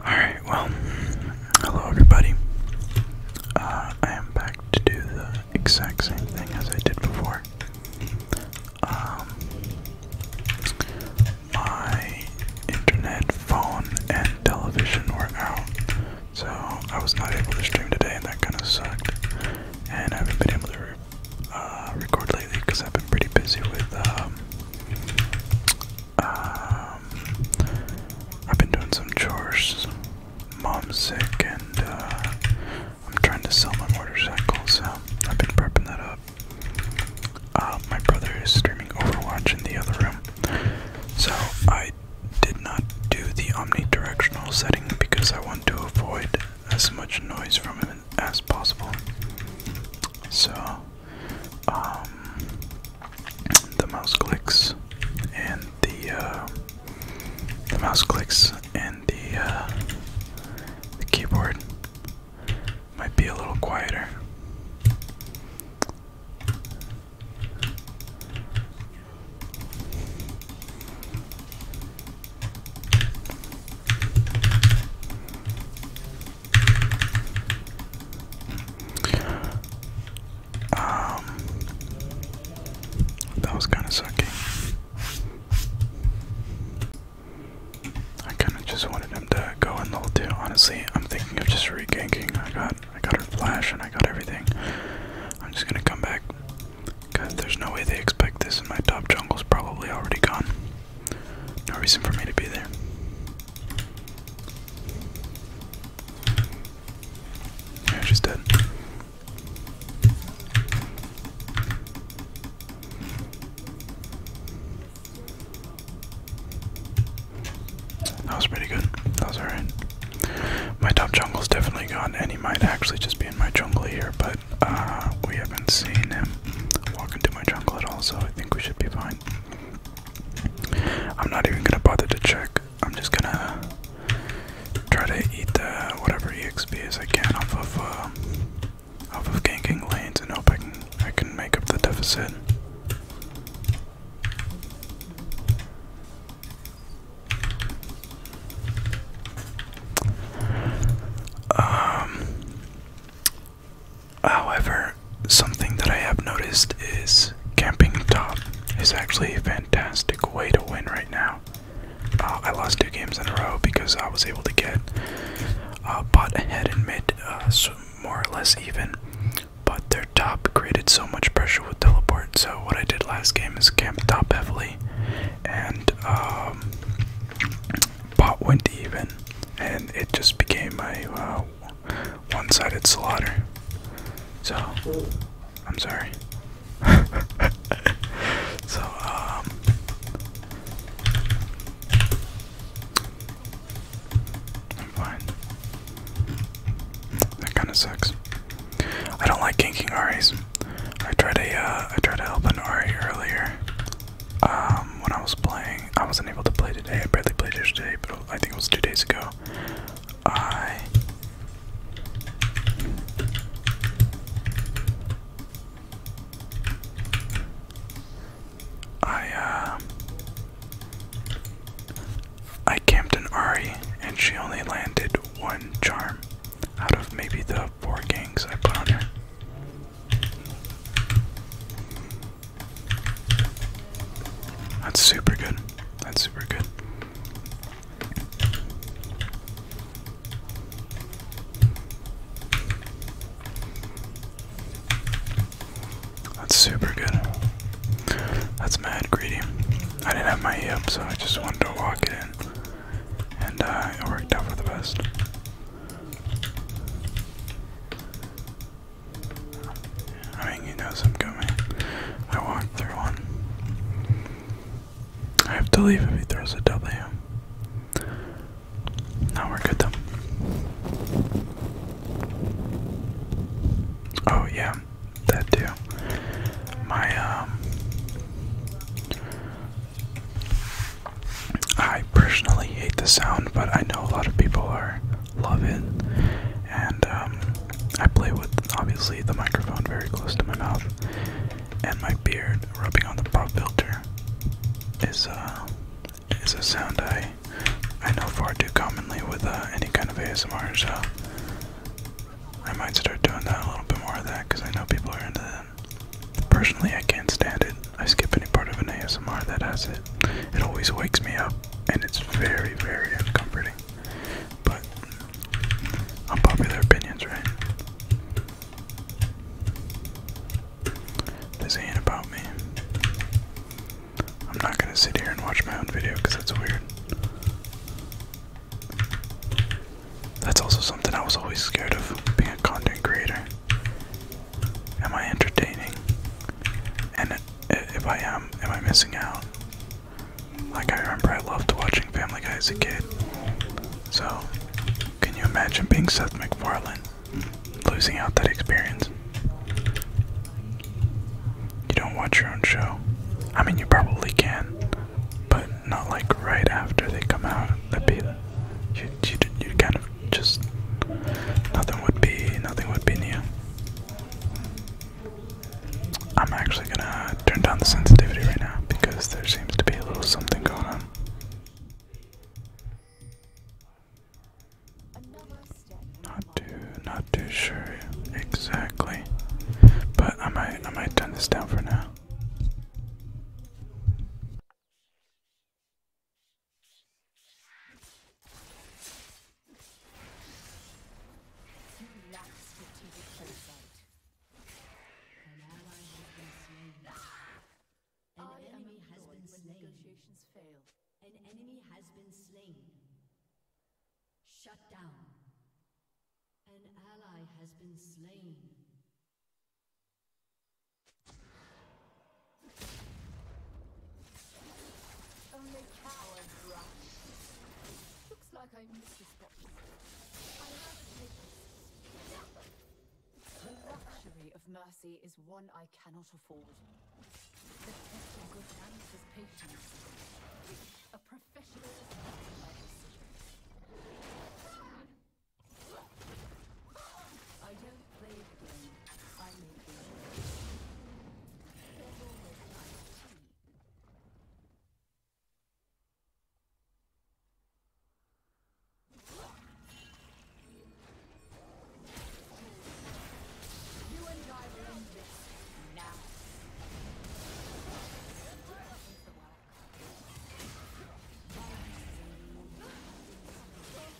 Alright, well, hello everybody. Uh, I am back to do the exact same thing as I did before. Um, my internet, phone, and television were out, so I was not able to stream today, and that kind of sucked. And I have been able to uh, record lately because I've been pretty busy with. Um, um, I've been doing some chores. Mom's sick, and uh, I'm trying to sell my motorcycle, so I've been prepping that up. Uh, my brother is streaming Overwatch in the other room, so I did not do the omnidirectional setting because I want to avoid as much noise from him as possible. So, um, the mouse clicks and the uh, the mouse clicks and the uh, the keyboard might be a little quieter. Um, that was kind of sucky. I kind of just wanted him to go in level two. Honestly, I'm thinking of just reganking. I got, I got a flash, and I got everything. I'm just gonna come back, cause there's no way they expect this, and my top jungle's probably already gone. No reason for me to be there. Yeah, she's dead. That was pretty good. That was alright. My top jungle's definitely gone, and he might actually just be in my jungle here, but uh, we haven't seen him walk into my jungle at all, so I think we should be fine. I'm not even gonna bother to check. I'm just gonna try to eat the whatever EXP as I can off of uh, off of ganking lanes and hope I can I can make up the deficit. Um However, something that I have noticed is camping top is actually a fantastic way to win right now. Uh, I lost two games in a row because I was able to get uh, bot ahead and mid uh, so more or less even, but their top created so much pressure with teleport. So what I did last game is camp top heavily, and um, bot went even, and it just became a uh, one-sided slaughter. So, I'm sorry. so, um, I'm fine. Hmm, that kind of sucks. I don't like ganking Aris. I tried to, uh, I tried to help an Ari earlier, um, when I was playing, I wasn't able to play today. I barely played yesterday, but I think it was two days ago. I I uh, camped an Ari and she only landed one charm out of maybe the four gangs I put on her. That's super good. That's super good. That's super good. That's mad greedy. I didn't have my E up, so I just wanted to walk it in. And uh, it worked out for the best. I mean, he knows I'm coming. I walked through one. I have to leave if he throws a W. Now we're good though. Oh yeah, that too. My um I personally hate the sound, but I know a lot of people are love it, and um, I play with obviously the microphone very close to my mouth, and my beard rubbing on the pop filter is uh is a sound I I know far too commonly with uh, any kind of ASMR, so I might start doing that a little bit more of that because I know people are into Personally, I can't stand it. I skip any part of an ASMR that has it. It always wakes me up, and it's very, very uncomfortable. But, unpopular opinions, right? This ain't about me. I'm not gonna sit here and watch my own video because that's weird. That's also something I was always scared of being a content creator. Am I entertaining? And if I am, am I missing out? Like, I remember I loved watching Family Guy as a kid. So, can you imagine being Seth MacFarlane? Losing out that experience. You don't watch your own show. I mean, you probably can, but not like right after they come out. That'd be you you you kind of just nothing would be nothing would be near. I'm actually gonna turn down the sensitivity right now because there seems to be a little something going on. Not too, not too sure exactly, but I might, I might turn this down for now. You lack strategic foresight. An ally has been slain. An Our enemy, enemy has been slain. Negotiations fail. An enemy has been slain. Shut down. An ally has been slain. Only cowards rush. Looks like I missed a spot. I have a The luxury of mercy is one I cannot afford. The test of good manners is patience. A professional is not my decision. I don't play the game. I make the game. There's always a tea. You and I will end this now. Violence is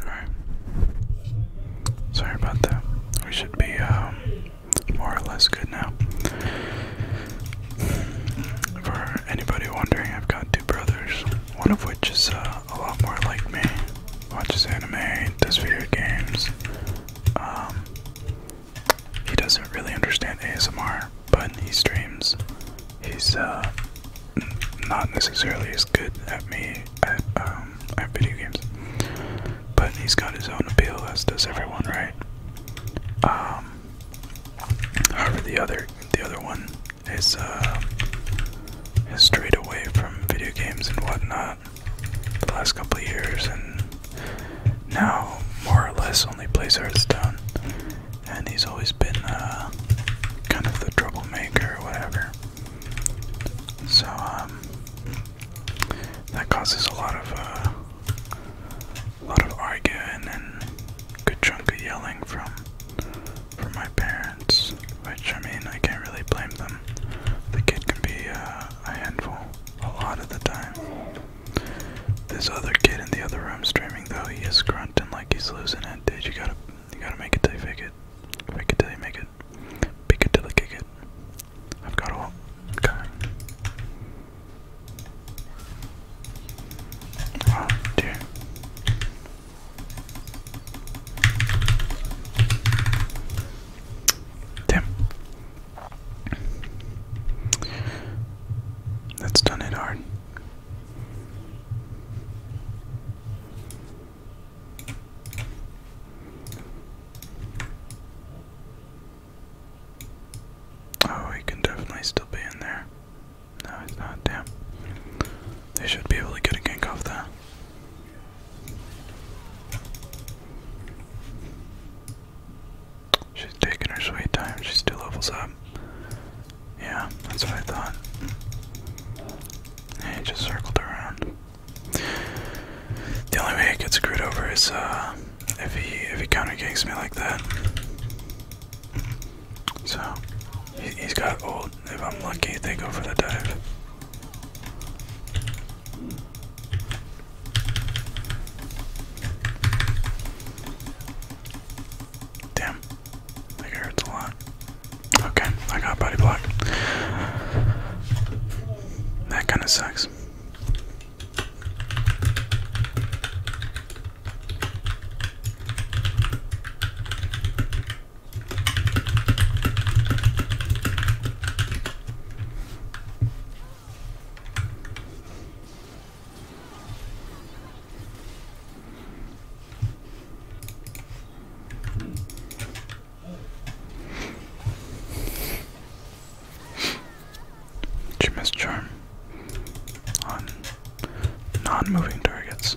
Alright. Sorry about that. We should be um, more or less good now. For anybody wondering, I've got two brothers, one of which is uh, a lot more like me. Watches anime, does video games. Um, he doesn't really understand ASMR, but he streams. He's uh, not necessarily as good at me um, at, video games, but he's got his own appeal, as does everyone, right? Um, however, the other the other one uh, is straight away from video games and whatnot the last couple of years, and now more or less only plays Hearthstone and he's always been uh, kind of the troublemaker or whatever. So um, that causes a lot of uh, a lot of arguing and a good chunk of yelling from from my parents. Which I mean, I can't really blame them. The kid can be uh, a handful a lot of the time. This other kid in the other I'm streaming though, he is grunting like he's losing it, dude. You gotta, you gotta make it till you it. Fake it till you make it. Pick it till you kick it. I've got all. Okay. Oh dear. Damn. That's done it hard. Oh, he can definitely still be in there. No, he's not, damn. They should be able to get a gank off that. She's taking her sweet time, She's still levels up. Yeah, that's what I thought. And it just circled around. The only way he gets screwed over is uh, if he if he counter ganks me like that. So he, has got old. If I'm lucky, they go for the dive. Damn it hurts a lot. Okay, I got body block. That kind of sucks. Jimmy's charm on non-moving targets.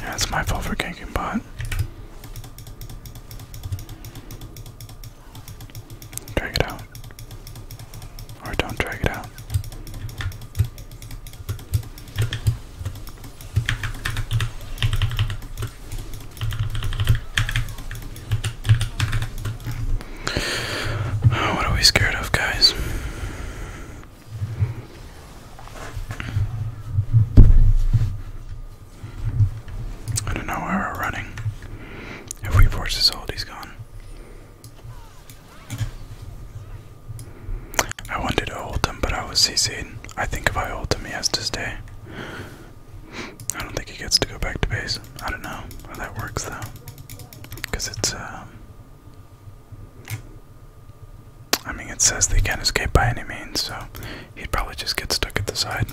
that's my fault for ganking bot. Drag it out. Or don't drag it out what are we scared of, guys? I don't know where we're running. If we force this hold, he's gone. I wanted to hold him, but I was CC'd. I think if I hold him, he has to stay. I don't think he gets to go back to base. I don't know how that works though. Because it's, um, I mean, it says they can't escape by any means, so he'd probably just get stuck at the side.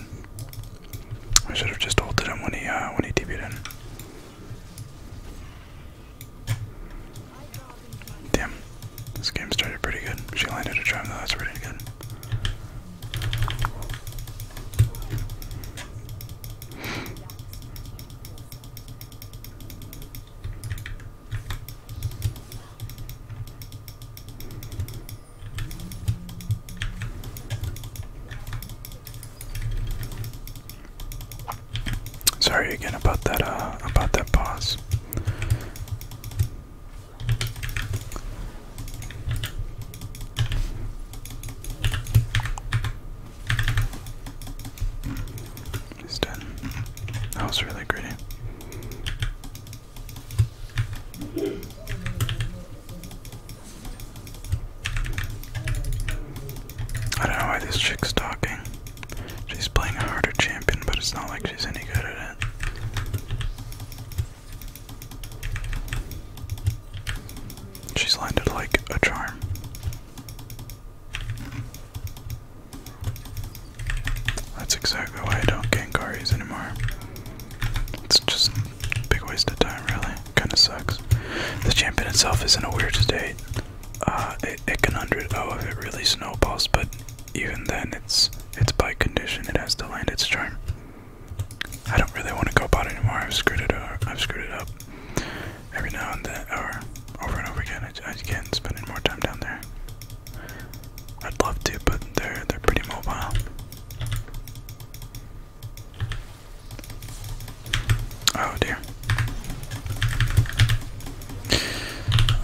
I should have just ulted him when he, uh, when he db in. Damn, this game started pretty good. She landed a charm though, that's pretty good. Sorry again about that uh about that pause. He's done. That was really gritty. I don't know why this chick's talking. She's playing a harder champion, but it's not like she's any good at it. She's landed like a charm. That's exactly why I don't Gengaris anymore. It's just big waste of time, really. Kinda sucks. The champion itself is in a weird state uh, it, it can 100 Oh, if it really snowballs, but even then, it's it's by condition. It has to land its charm. I don't really want to go bot anymore. I've screwed it up. I've screwed it up every now and then, or over and over again. I, just can't spend any more time down there. I'd love to, but they're they're pretty mobile. Oh dear.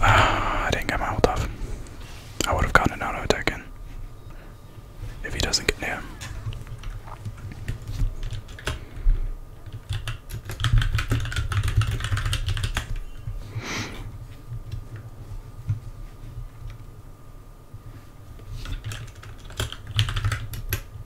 Uh, I didn't get my ult off. I would have gotten an auto attack in. If he doesn't get near.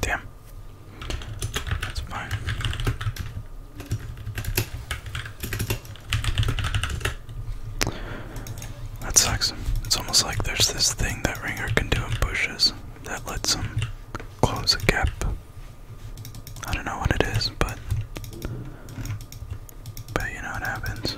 Damn. That's fine. That sucks. It's almost like there's this thing that Ringer can do in bushes that lets him close a gap. I don't know what it is, but but you know what happens.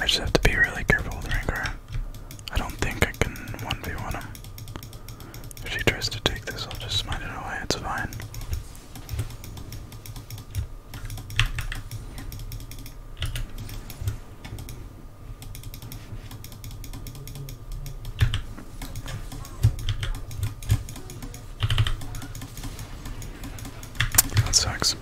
I just have to be really careful with I don't think I can 1v1 him. If she tries to take this, I'll just smite it away, it's fine. That sucks.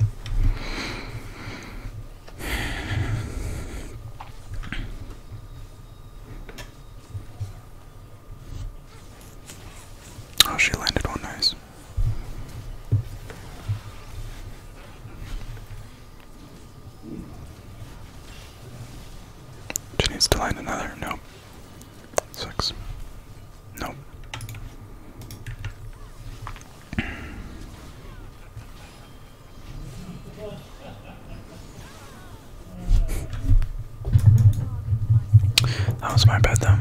Oh, she landed one nice. She needs to land another. Nope. Sucks. Nope. That was my bad, though.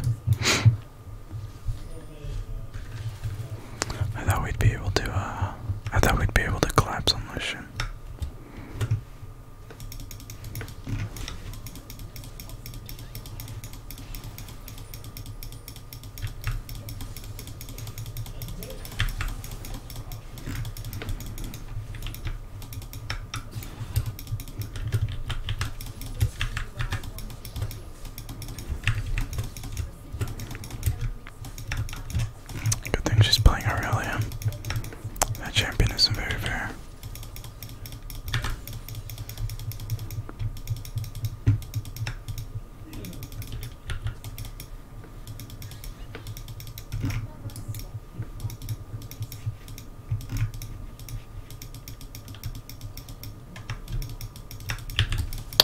I thought we'd be able to, uh, I thought we'd be able to collapse on this shit. Good thing she's playing Aurelia. That champion isn't very fair.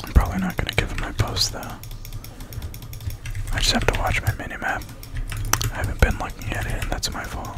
I'm probably not going to give him my post, though. I just have to watch my minimap. I haven't been looking at it, and that's my fault.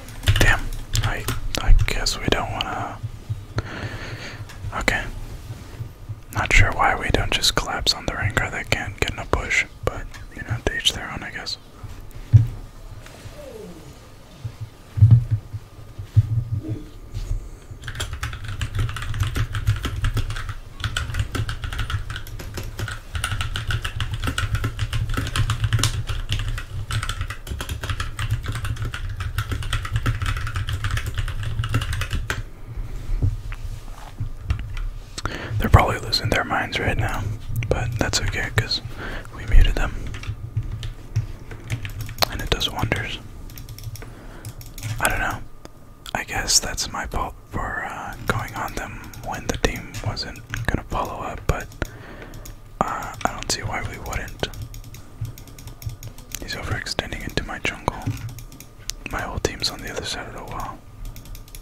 Damn. I I guess we don't wanna Okay. Not sure why we don't just collapse on the Rengar that can't get in a push, but you know, to each their own I guess. They're probably losing their minds right now, but that's okay because we muted them. And it does wonders. I don't know. I guess that's my fault for uh, going on them when the team wasn't gonna follow up, but I don't see why we wouldn't. He's overextending into my jungle. My whole team's on the other side of the wall.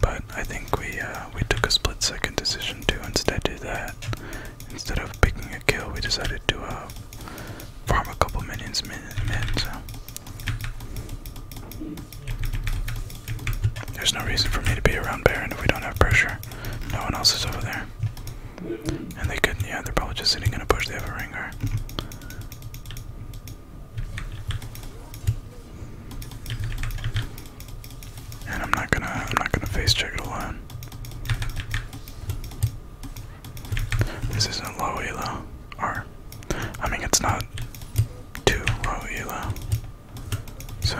But I think we uh, we took a split second decision to instead do that. Instead of picking a kill, we decided to uh, farm a couple minions mid, There's no reason for me to be around Baron if we don't have pressure. No one else is over there. And they could, yeah, they're probably just sitting in a bush. They have a Rengar. And I'm not gonna, I'm not gonna face check it alone. This isn't low elo, or I mean, it's not too low elo. So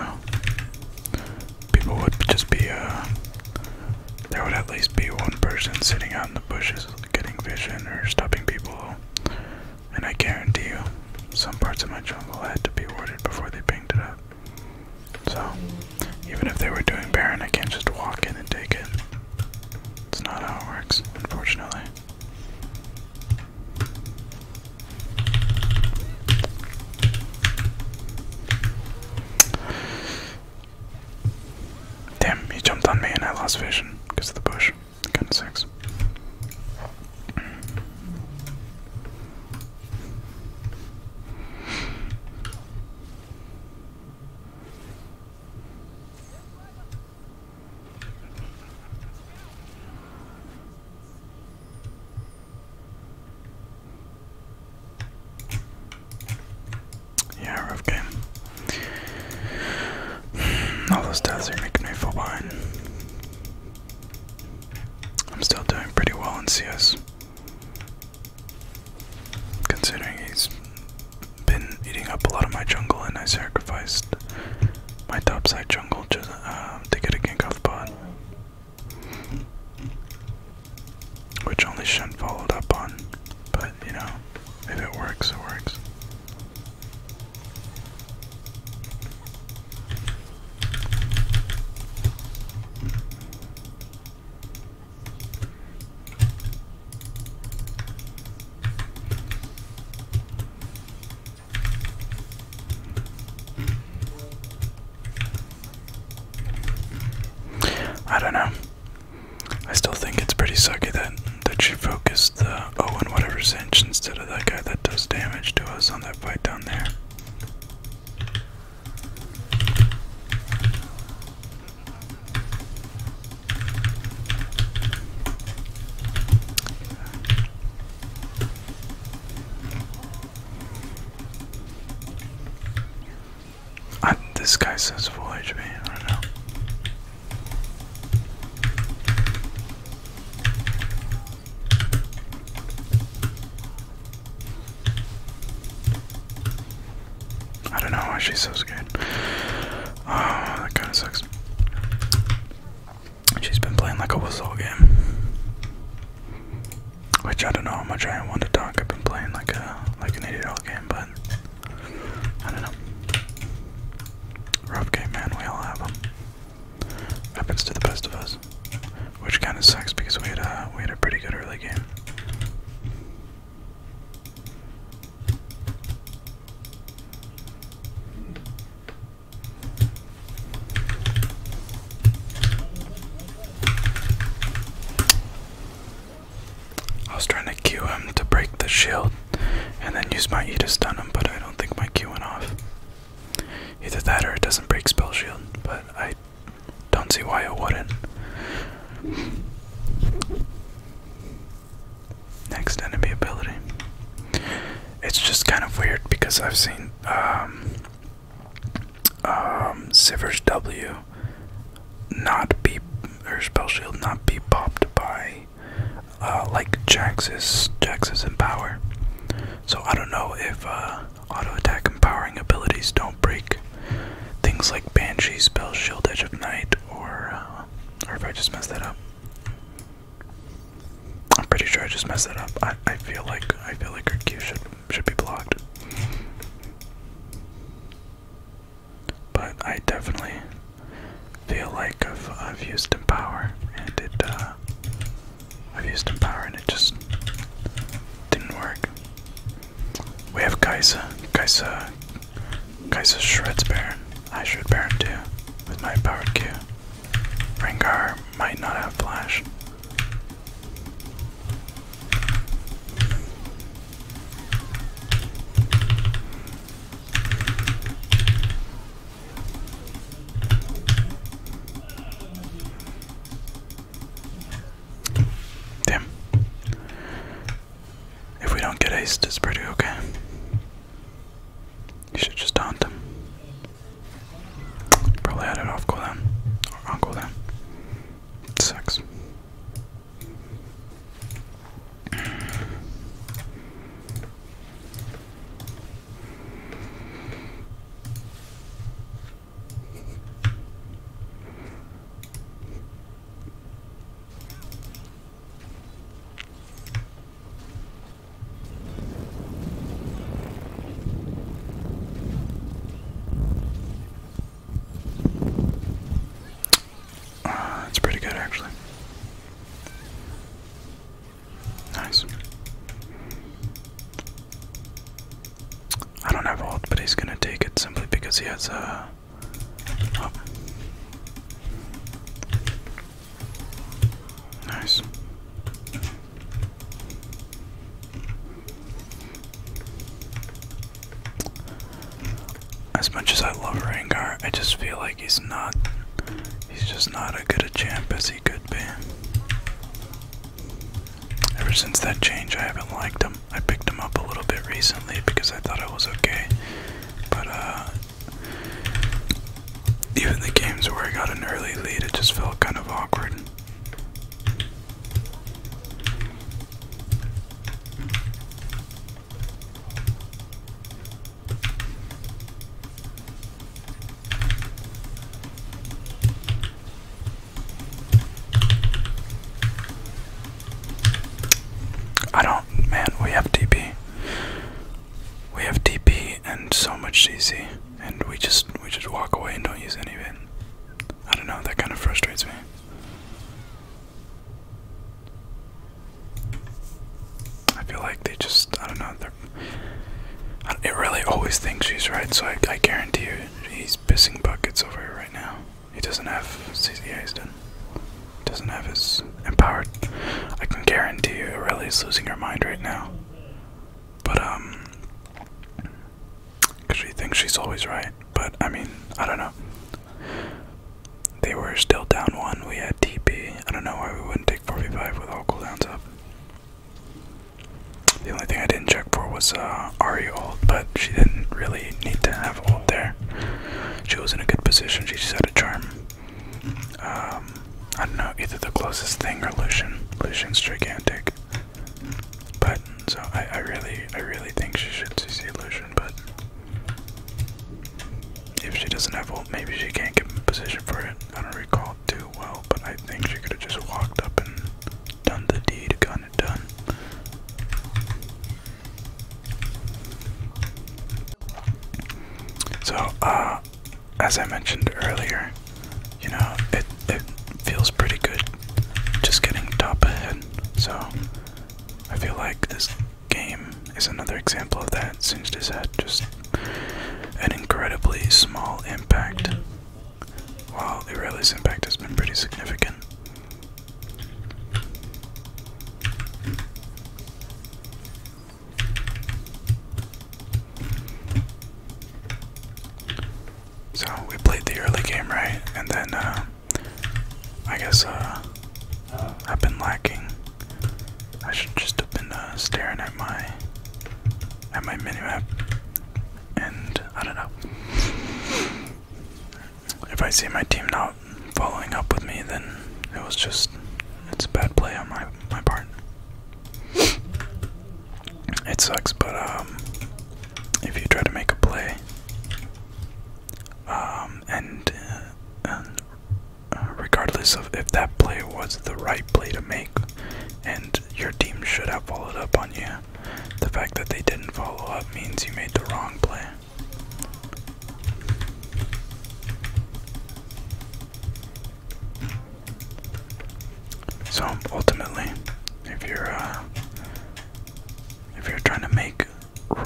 people would just be, uh, there would at least be one person sitting out in the bushes getting vision or stopping people. And I guarantee you, some parts of my jungle had to be ordered before they pinged it up. So, even if they were doing Baron, I can't just walk in and take it. It's not how it works, unfortunately. Damn, he jumped on me and I lost vision because of the bush. Kind of sucks. Yeah, rough All those deaths are making me feel behind. I'm still doing pretty well in CS. Considering he's been eating up a lot of my jungle and I sacrificed my top side jungle just, um, to get a gank off bot. Which only Shen followed up on, but you know, if it works, it works. I don't know. I still think it's pretty sucky that that she focused the oh and whatever's inch instead of that guy that does damage to us on that fight down there this guy says full HP. I don't know. I don't know why she's so scared. Oh, that kind of sucks. She's been playing like a whistle game. Which I don't know how much I want to talk. I've been playing like a like an idiot all game, but I don't know. Rough game, man. We all have them. Happens to the best of us, which kind of sucks because we had a we had a pretty good early game. I was trying to Q him to break the shield and then use my E to stun him, but I don't think my Q went off. Either that or it doesn't break spell shield, but I don't see why it wouldn't. Next enemy ability. It's just kind of weird because I've seen um, um, W not be or spell shield not be popped by uh, like Jax's Jax's empower. So I don't know if uh, auto attack empowering abilities don't break things like Banshee, Spell Shield, Edge of Night, or uh, or if I just messed that up. I'm pretty sure I just messed that up. I I feel like I feel like her Q should should be blocked. But I definitely feel like I've, used Empower, and it, uh, I've used Empower and it just didn't work. We have Kaisa, Kaisa, Kaisa Shreds Baron. I should Baron too, with my powered Q. Rengar might not have Flash. Damn. If we don't get aced, it's pretty okay. You should just taunt them. Probably had it off cooldown. on cooldown. It sucks. Uh, it's pretty good, actually. Nice. I don't have ult, but he's gonna take it simply because he has a. Uh, oh. Nice. As much as I love Rengar, I just feel like he's not. He's just not as good a champ as he could be. Ever since that change, I haven't liked him. I picked him up a little bit recently because I thought it was okay. But, uh. Even the games where I got an early lead, it just felt kind of awkward. I don't, man, we have TP. We have TP and so much CC, and we just we just walk away and don't use any of it. I don't know, that kind of frustrates me. I feel like they just, I don't know, they're. It really always thinks she's right, so I, I guarantee you he's pissing buckets over here right now. He doesn't have CCA, Doesn't have his empowered. I can guarantee you is losing her mind right now. But, um. Because she thinks she's always right. But, I mean, I don't know. They were still down one. We had TP. I don't know why we wouldn't take 4v5 with all cooldowns up. The only thing I didn't check for was uh, Ari ult, but she didn't really need to have ult there. She was in a good position. She just had a charm. Um, I don't know, either the closest thing or Lucian. Lucian's gigantic button. So I, I really, I really think she should CC Lucian, but if she doesn't have ult, maybe she can't get in position for it. I don't recall too well, but I think she could have just walked up and done the deed, gotten it done. So, uh, as I mentioned earlier, you know, it, it feels pretty good just getting top ahead. So I feel like this game is another example of that since this had just an incredibly small impact. While the Irella's impact has been pretty significant. So we played the early game right, and then uh, I guess uh, I've been lacking. I should just have been uh, staring at my at my minimap, and I don't know. If I see my team not following up with me, then it was just it's a bad play on my my part. It sucks, but um, if you try to make a play um, uh, and, regardless of if that play was the right play to make, and your team should have followed up on you, the fact that they didn't follow up means you made the wrong play. So ultimately, if you're uh, if you're trying to make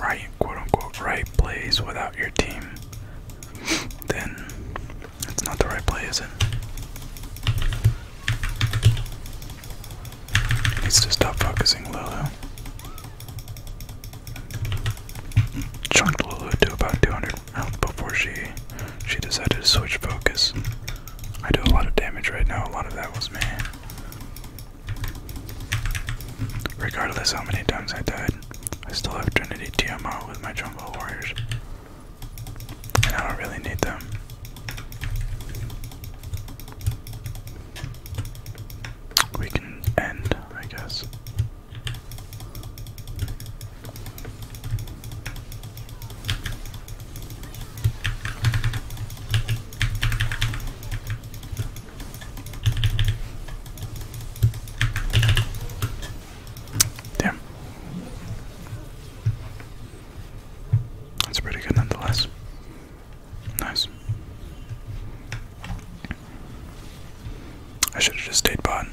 right, quote unquote, right plays without your team, then it's not the right play, is it? needs to stop focusing Lulu. Chunked Lulu to about 200 health before she she decided to switch focus. I do a lot of damage right now. A lot of that was me. Regardless how many times I died, I still have Trinity TMO with my jungle warriors. I don't really need them. We can end, I guess. Damn. That's pretty good nonetheless. Nice. I should have just stayed bot.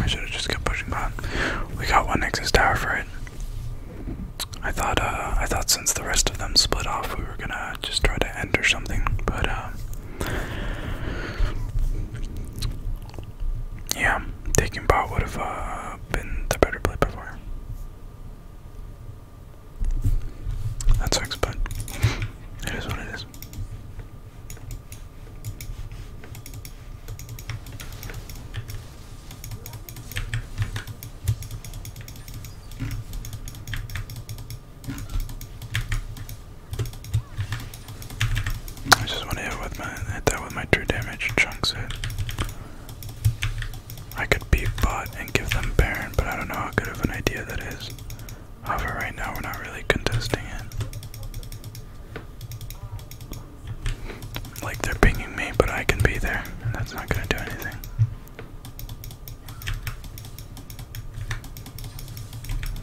I should have just kept pushing on. We got one Nexus tower for it. I thought, uh, I thought since the rest of them split off, we were gonna just try to end or something, but, uh, yeah, taking bot would have uh, been the better play by far. That sucks, but it is what it is. I just want to hit with my hit that with my true damage chunks it. I could beat bot and give them Baron, but I don't know how good of an idea that is. However, right now we're not really contesting it. Like they're pinging me, but I can be there, and that's not gonna do anything.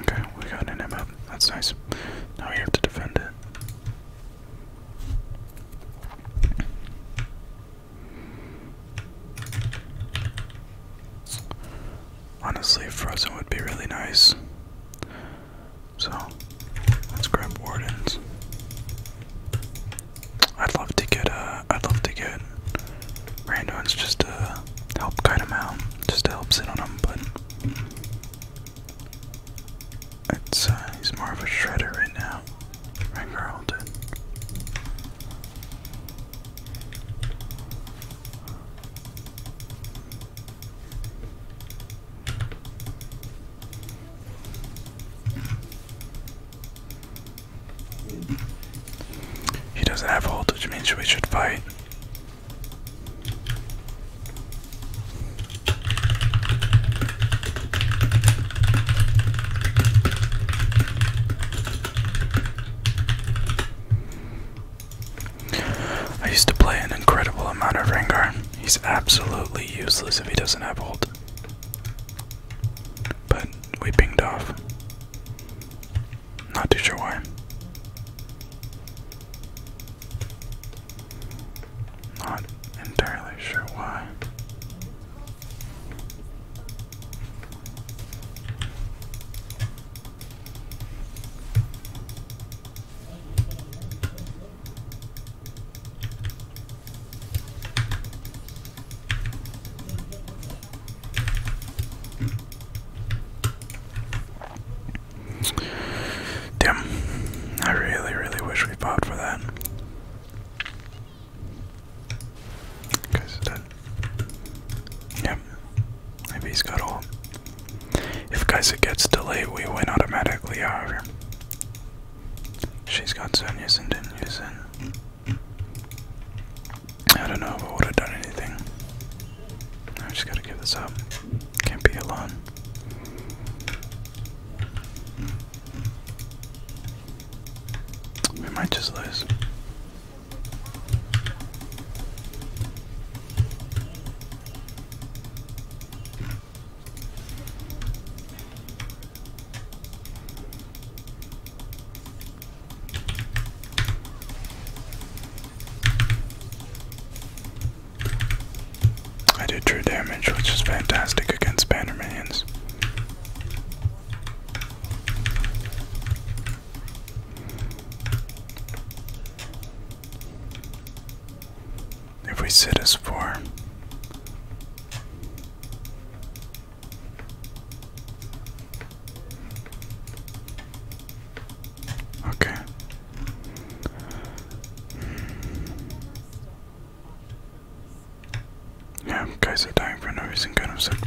Okay, we got an M That's nice. Now we have to defend it. Honestly, Frozen would be really nice. So, let's grab Wardens. I'd love to get, uh, would love to get Randoins just to uh, help guide him out, just help sit on him, but it's uh, he's more of a shredder right now. Rangarl He doesn't have voltage, which means we should fight. I used to play an incredible amount of Rengar. He's absolutely useless if he doesn't have ult. But we pinged off. Not too sure why. Not entirely sure why. Damn. I really, really wish we fought for that. Guys dead. Yep. Maybe he's got all. If guys it gets delayed, we win automatically, however. She's got Zen, and didn't I don't know if would have done anything. I just gotta give this up. Can't be alone. We might just lose. I did true damage, which is fantastic against banner minions. If we sit as four, Okay. Yeah, guys are dying for no reason, kind of sucked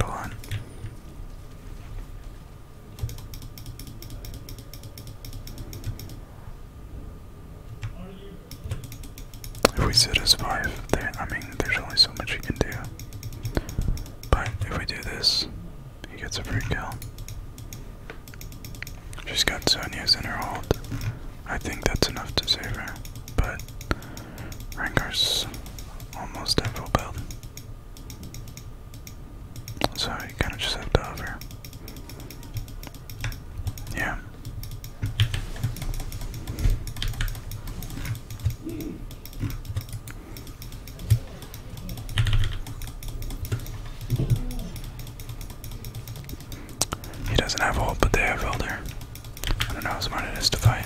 If we sit as five, there I mean there's only so much you can do. But if we do this he gets a free kill. She's got Sonya's in her hold. I think that's enough to save her, but Rengar's almost at build. So you kind of just have to hover. Yeah. He doesn't have ult, but they have Elder. I don't know how smart it is to fight.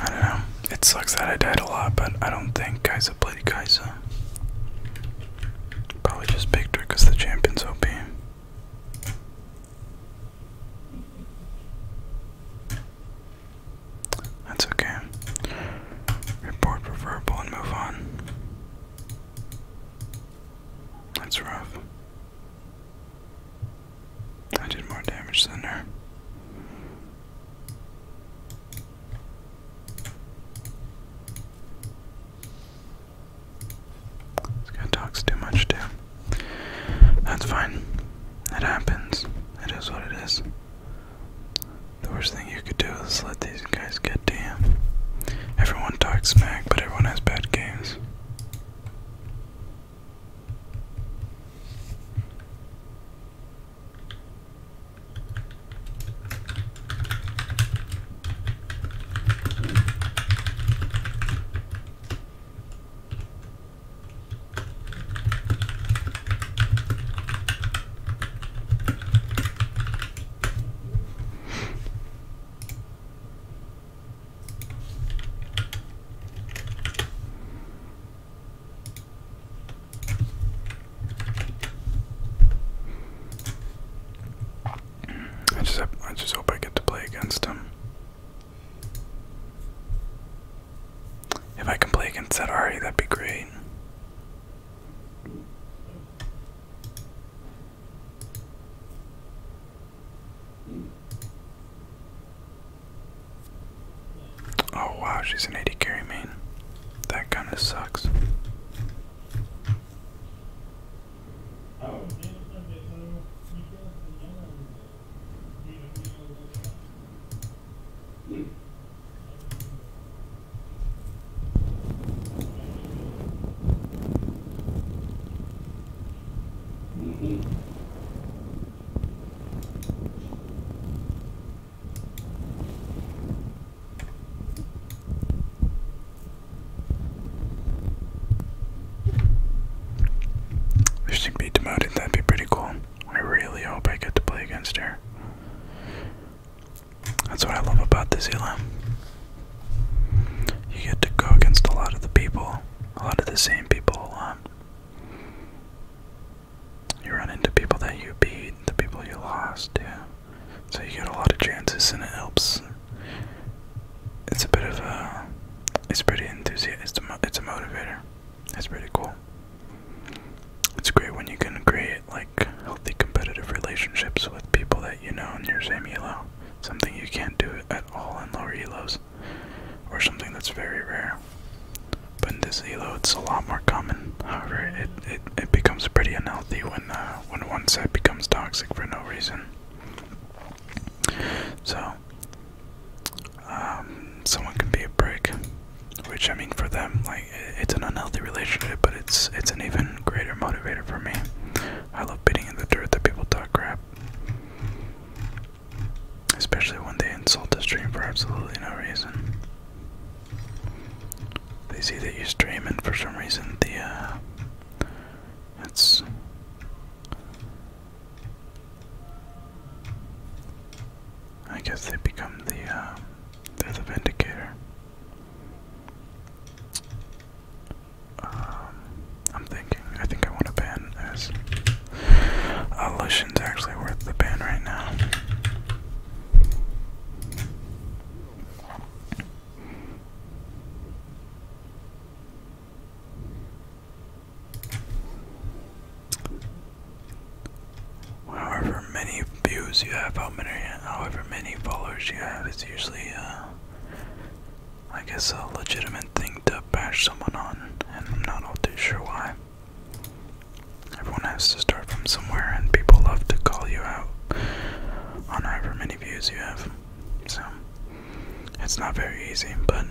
I don't know. It sucks that I died a lot, but I don't think Kaiser played Kai'Sa. Probably just picked her because the champion's OP. That's okay. Report for and move on. That's rough. I did more damage than her. This guy talks too much too. That's fine. It happens. It is what it is. The worst thing you could do is let these guys get to you. Everyone talks smack, but everyone has bad games. I just I just hope I get to play against him. If I can play against that Sadari, that'd be great. Oh wow, she's an 80 carry main. That kind of sucks. If she be demoted, that'd be pretty cool. I really hope I get to play against her. That's what I love about the Zealand. You get to go against a lot of the people, a lot of the same people You run into people that you beat, the people you lost, yeah. So you get a lot of chances and it helps. It's a bit of a. It's pretty enthusiastic. It's a motivator. It's pretty cool. It's great when you can create like healthy competitive relationships with people that you know in your same elo. Something you can't do at all in lower elos, or something that's very rare. But in this elo, it's a lot more common. However, it it, becomes pretty unhealthy when uh, when one side becomes toxic for no reason. So, um, someone can be a break, which I mean for them, like it's an unhealthy relationship, but it's it's an even greater motivator for me. I love biting in the dirt that people talk crap. Especially when they insult the stream for absolutely no reason. They see that you are streaming for some reason the uh it's I guess they become the uh, they're the vindicator. Um, I'm thinking. I think I want to ban this. Allusion's uh, actually worth the ban right now. However many views you have, how many, however many followers you have, it's usually uh, I guess a legitimate thing to bash someone on, and I'm not all too sure why. Everyone has to start from somewhere, and people love to call you out on however many views you have. So it's not very easy, but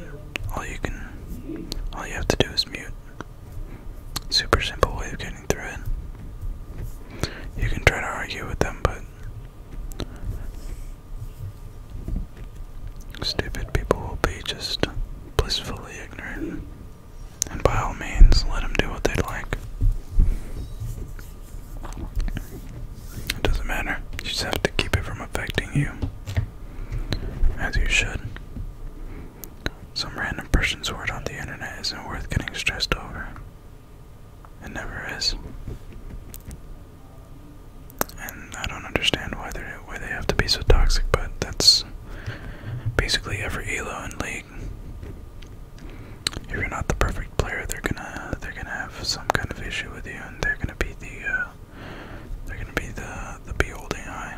all you can, all you have to do is mute. Super simple way of getting through it. You can try to argue with them, but Stupid people will be just blissfully ignorant. And by all means, let them do what they like. It doesn't matter. You just have to keep it from affecting you. As you should. Some random person's word on the internet isn't worth getting stressed over. It never is. And I don't understand why they why they have to be so toxic, but that's basically every elo and league. If you're not the perfect player, they're gonna they're gonna have some kind of issue with you, and they're gonna be the uh, they're gonna be the the beholding eye.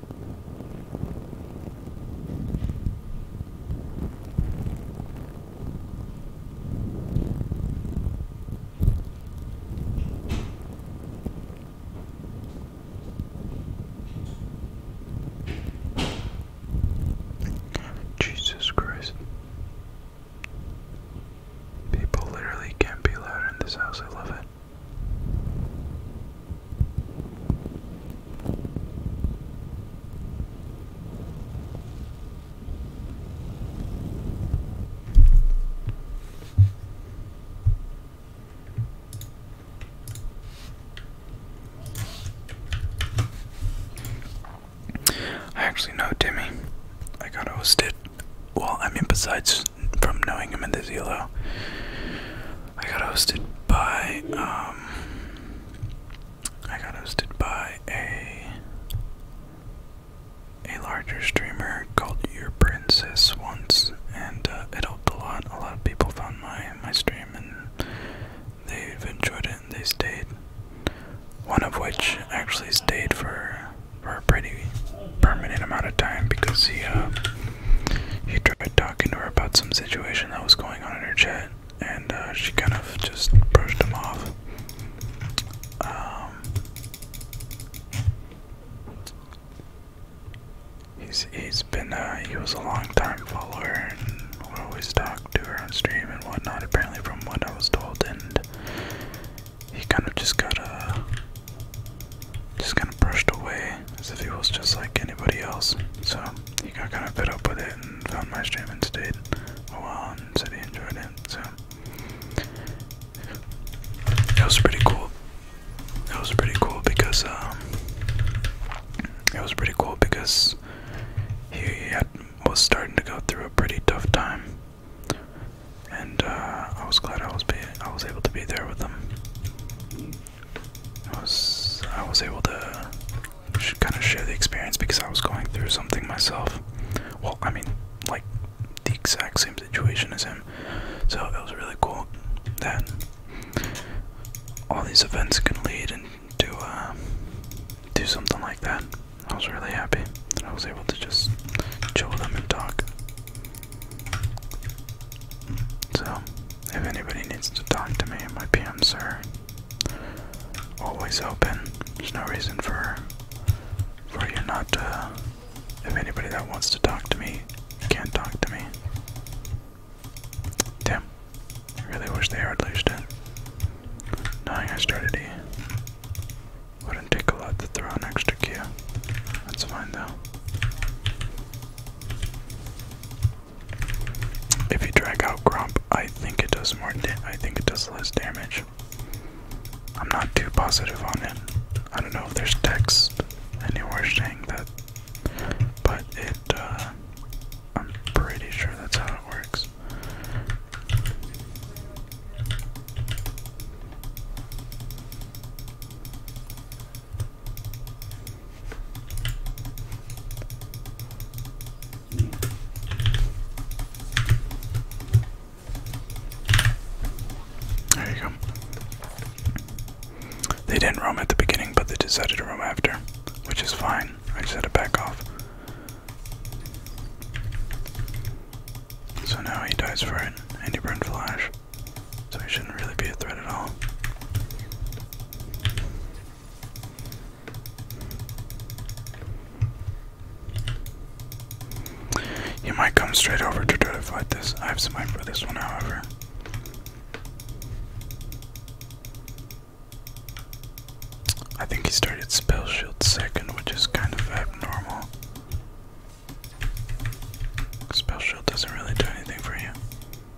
Jesus Christ. People literally can't be loud in this house, I love it. I actually know Timmy. I got hosted. Well, I mean, besides from knowing him in the Zelo, I got hosted by um I got hosted by a a larger streamer called Your Princess once, and uh, it helped a lot. A lot of people found my my stream and they've enjoyed it and they stayed. One of which actually stayed for for a pretty permanent amount of time because he uh, he tried talking to her about some situation that was going on in her chat, and uh, she kind of just brushed him off. Um, he's he's been uh, he was a long time follower and would always talked to her on stream and whatnot. Apparently, from what I was told, and he kind of just got uh just kind of brushed away as if he was just like anybody else. So he got kind of fed up with it and found my stream and stayed a while and said he enjoyed it. So it was pretty cool. It was pretty cool because um, it was pretty cool because he had, was starting to go through a pretty tough time, and uh, I was glad I was be I was able to be there with them. I was I was able to kind of share the experience because I was going through something myself. Well, I mean, like the exact same situation as him. So it was really cool that all these events can lead into uh, do something like that. I was really happy that I was able to just chill with them and talk. So if anybody needs to talk to me, my PMs are always open. There's no reason for for you not to. Uh, if anybody that wants to talk to me can't talk to me. Damn. I really wish they had laced it. Knowing I started E. Wouldn't take a lot to throw an extra Q. That's fine though. If you drag out Grump, I think it does more. I think it does less damage. I'm not too positive on it. I don't know if there's text anywhere saying that, but it. Uh, I'm pretty sure that's how it works. There you go. They didn't roam at the beginning, but they decided to roam after, which is fine. I just had to back off. So now he dies for it, and he burned flash. So he shouldn't really be a threat at all. He might come straight over to try to fight this. I have some mind for this one, however. I think he started Spell Shield second, which is kind of abnormal. Spell Shield doesn't really do anything for you.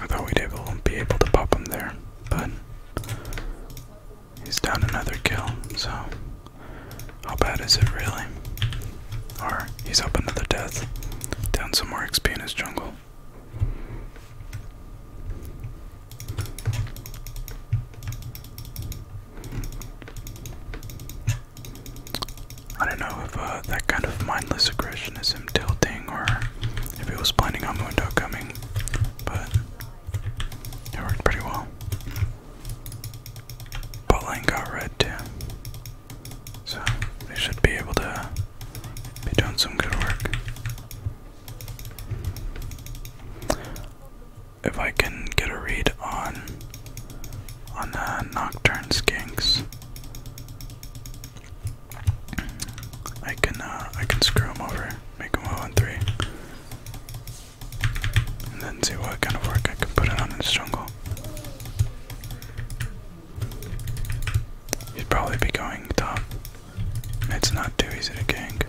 I thought we'd be able to pop him there, but he's down another kill, so how bad is it really? Or he's up another death, down some more XP in his jungle. I don't know if uh, that kind of mindless aggression is tilting or if it was planning on window coming, but it worked pretty well. Botline got red too, so they should be able to be doing some good work. If I can get a read on on the Nocturne Skinks, I can uh, I can screw him over, make him one and 3, and then see what kind of work I can put in on his jungle. He'd probably be going top. It's not too easy to gank.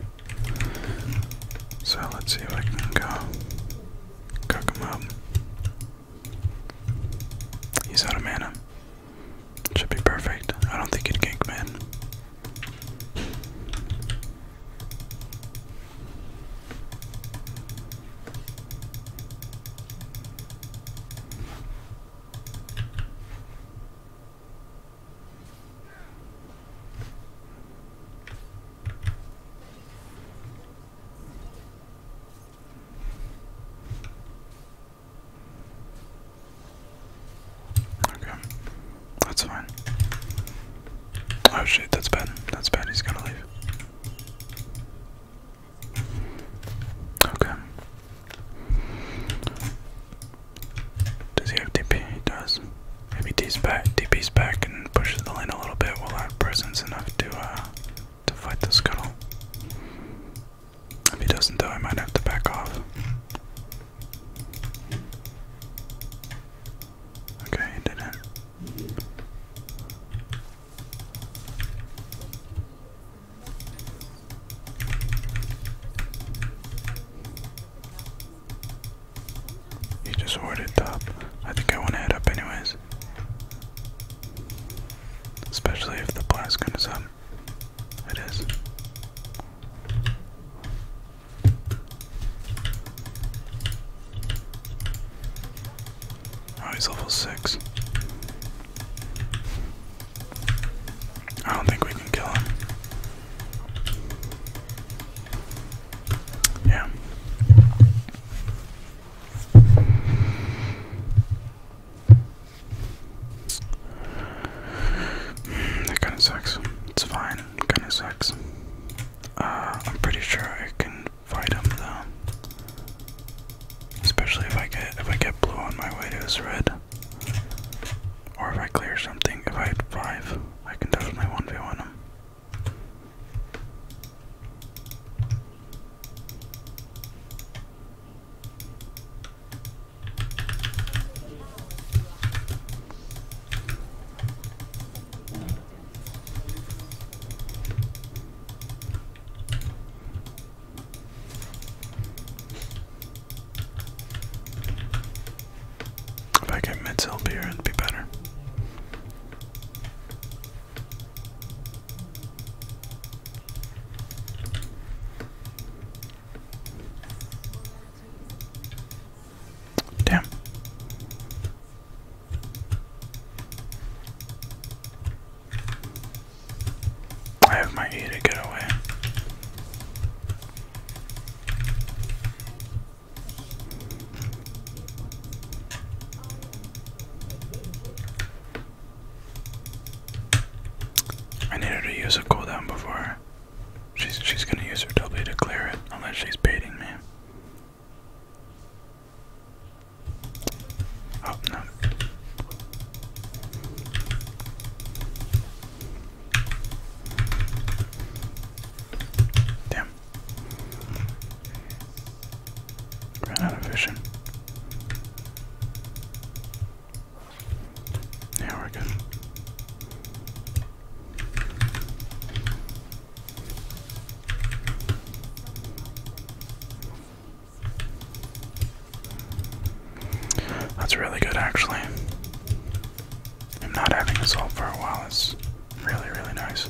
So let's see if I can go cook him up. He's out of mana. Should be perfect. I don't think it gank man. Okay. That's fine. Oh shit, that's bad. That's bad. He's going to leave. Okay. Does he have DP? He does. Maybe D's back, DP's back and pushes the lane a little bit. Will I have presence enough to uh to fight this scuttle? If he doesn't, die, I might have to back off. Okay, he didn't. He just warded top. I think I want to head up anyways. Especially if the blast gun up. It is. Oh, he's level six. I don't think we can kill him. Yeah. That kind of sucks. It's fine. Kind of sucks. Uh, I'm pretty sure I can fight him though. Especially if I get if I get blue on my way to his red, or if I clear something. If I have five, I can definitely one v one him. If I get Mets help here, it'd be better. Damn. I have my E to get away. I need her to use a cooldown before she's she's gonna use her W to clear it unless she's baiting me. Oh no. Damn. Ran out of vision. Now we're good. That's really good, actually. I'm not having this all for a while. It's really, really nice.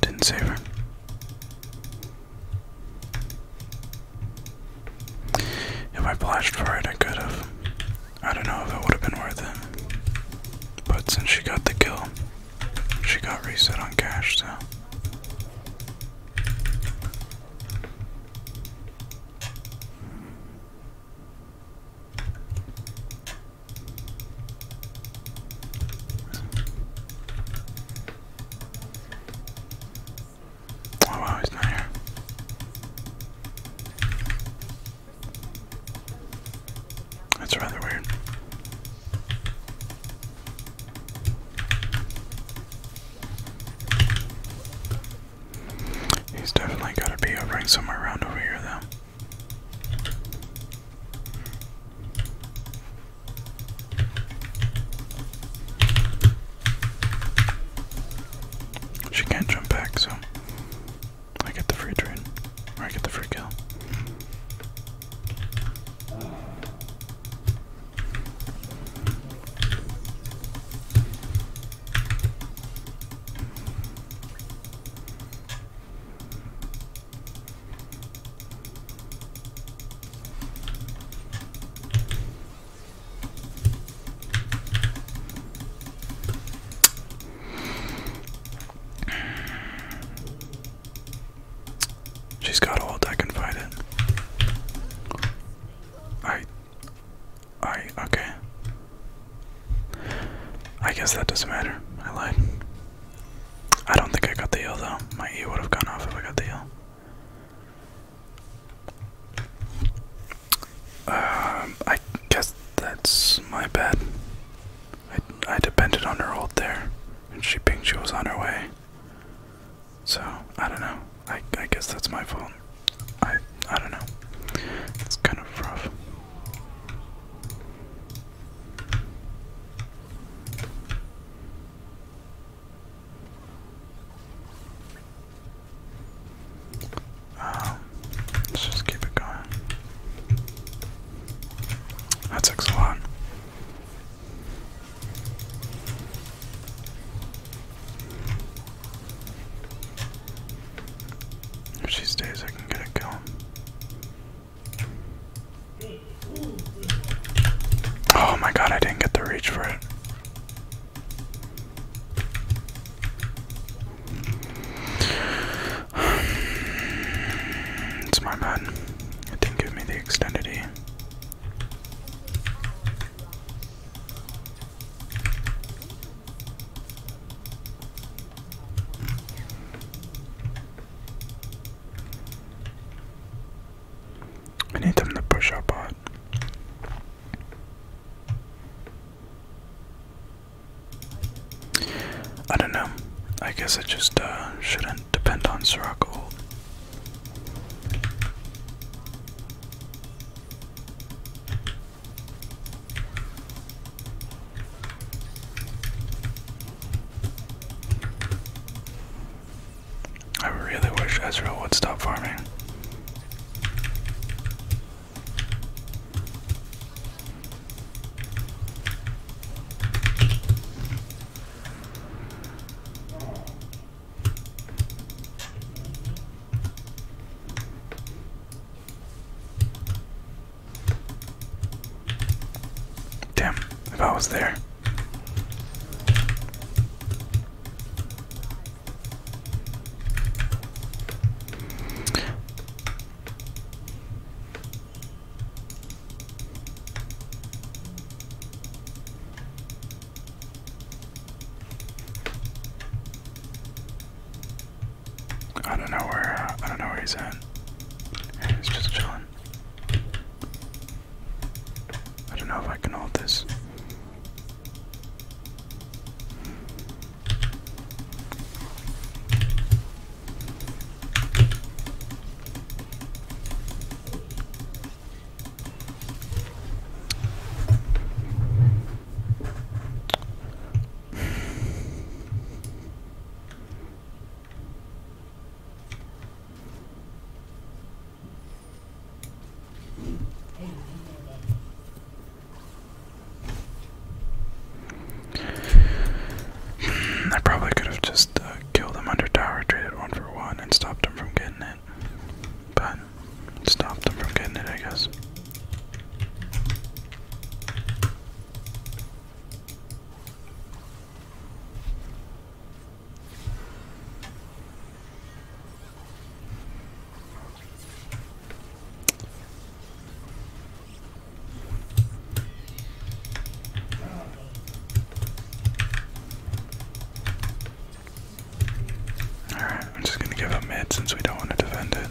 Didn't save her. If I flashed for it, I could have. I don't know if it would have been worth it. But since she got the kill, she got reset on cash, so. Oh wow, he's not here. That's rather weird. He's definitely got to be over somewhere around over here, though. She can't jump back, so I get the free train. Or I get the free kill. She's got all I can fight it. I I okay. I guess that doesn't matter. I lied. I don't think I got the heal though. My E would have gone off if I got the heal. Um, I guess that's my bad. I, I depended on her old there, and she pinged she was on her way. So I don't know. I I guess that's my fault. I I don't know. It's kind of rough. Um, let's just keep it going. That takes a lot. If she stays, I can get a kill. Oh my god, I didn't get the reach for it. It's my bad. It didn't give me the extended E. I need them to push up on. I don't know. I guess it just uh, shouldn't depend on Sirocco. I really wish Ezreal would stop farming. Damn, if I was there. I don't know where I don't know where he's at. He's just chilling. I don't know if I can hold this. I probably could have just uh, killed him under tower, traded one for one, and stopped him from getting it. But stopped him from getting it, I guess. Alright, I'm just gonna give up mid since we don't want to defend it.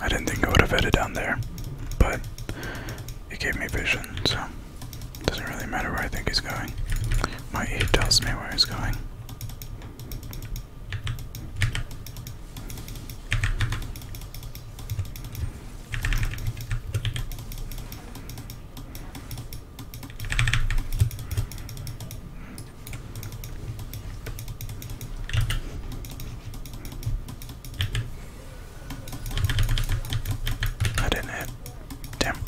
I didn't think I would have ended down there, but it gave me vision, so it doesn't really matter where I think he's going. My aid tells me where he's going. I didn't hit. Damn.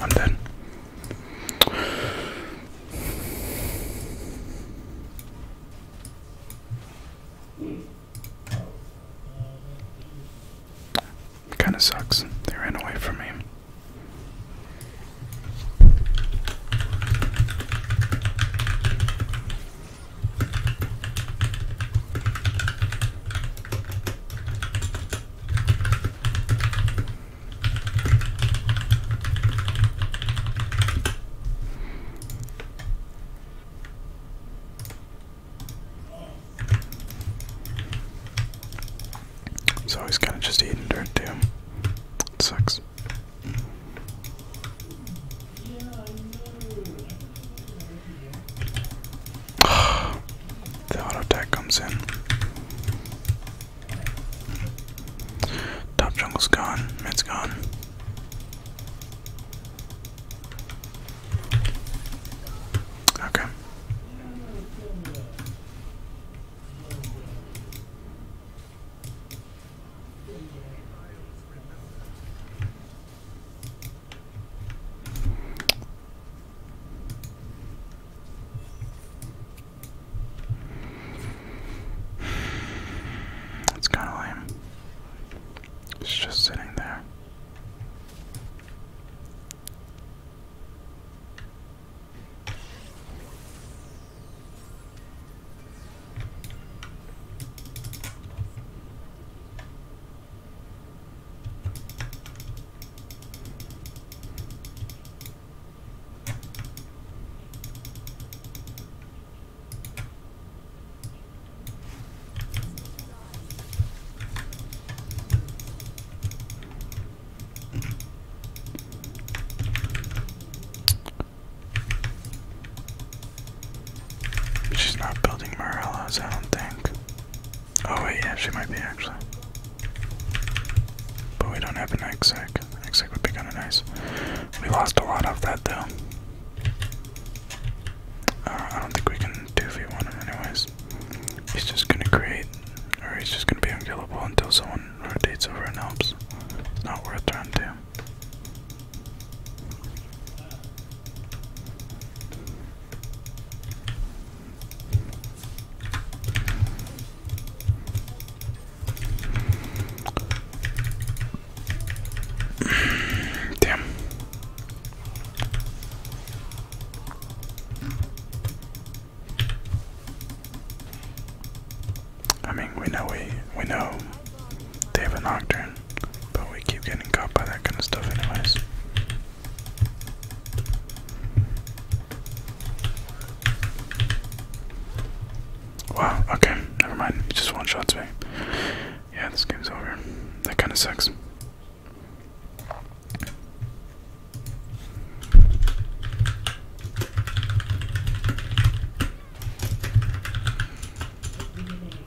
I'm done. Kind of sucks. They ran away from me. So he's kind of just eating dirt too. sucks. the auto attack comes in. Top jungle's gone, it has gone. Okay. It's kind of lame. It's just sitting there. She's not building Morellas, I don't think. Oh wait, yeah, she might be actually. But we don't have an exec. Exec would be kinda nice. We lost a lot of that though. Uh, I don't think we can 2v1 him anyways. He's just gonna create, or he's just gonna be unkillable until someone rotates over and helps. It's not worth trying to. Damn. I mean, we know we we know they have a nocturne, but we keep getting caught by that kind of stuff, anyways. Wow, okay, never mind. just one shots me. Yeah, this game's over. That kind of sucks.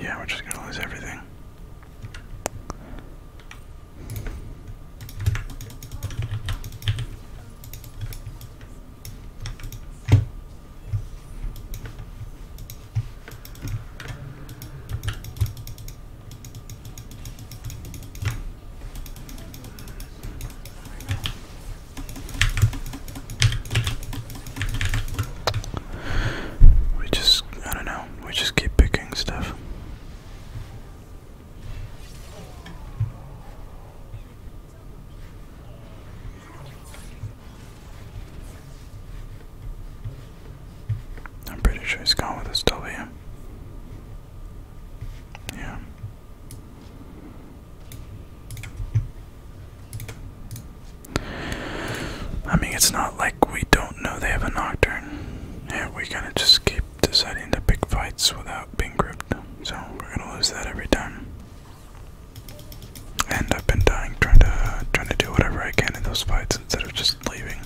Yeah, we're just gonna lose everything. We just, I don't know, we just keep picking stuff. I'm pretty sure he's gone with his W. Yeah. I mean, it's not like we don't know they have a Nocturne. Yeah, we kind of just keep deciding to pick fights without being grouped. So we're gonna lose that every time. And I've been dying trying to trying to do whatever I can in those fights instead of just leaving.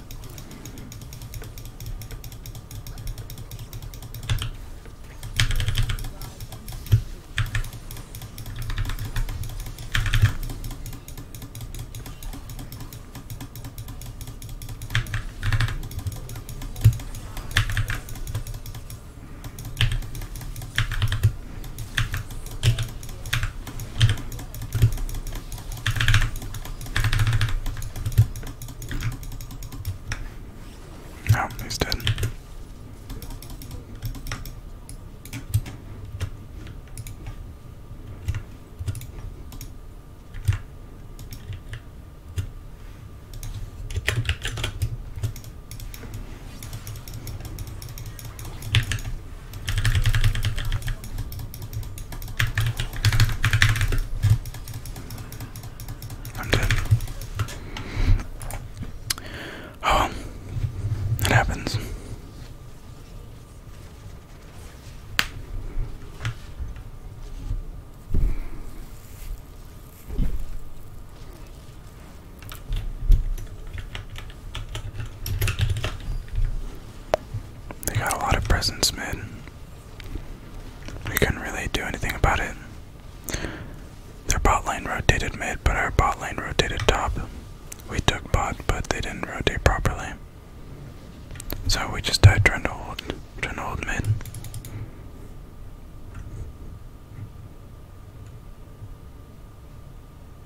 No, he's dead i Oh, it happens. They got a lot of presents, mid. We couldn't really do anything about it. Their bot lane rotated mid, but our bot lane rotated top. We took bot, but they didn't rotate properly. So we just died trying to hold, trying to hold mid.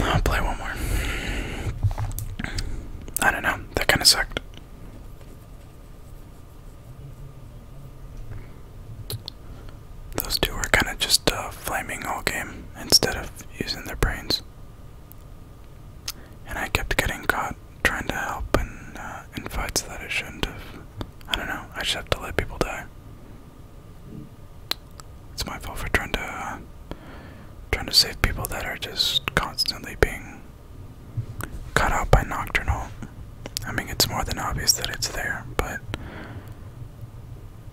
I'll play one more. I don't know. That kind of sucked. Those two were kind of just uh, flaming all game instead of using their brains. And I kept getting caught trying to help in, uh, in fights that I shouldn't have. I don't know, I just have to let people die. It's my fault for trying to uh, trying to save people that are just constantly being cut out by Nocturnal. I mean, it's more than obvious that it's there, but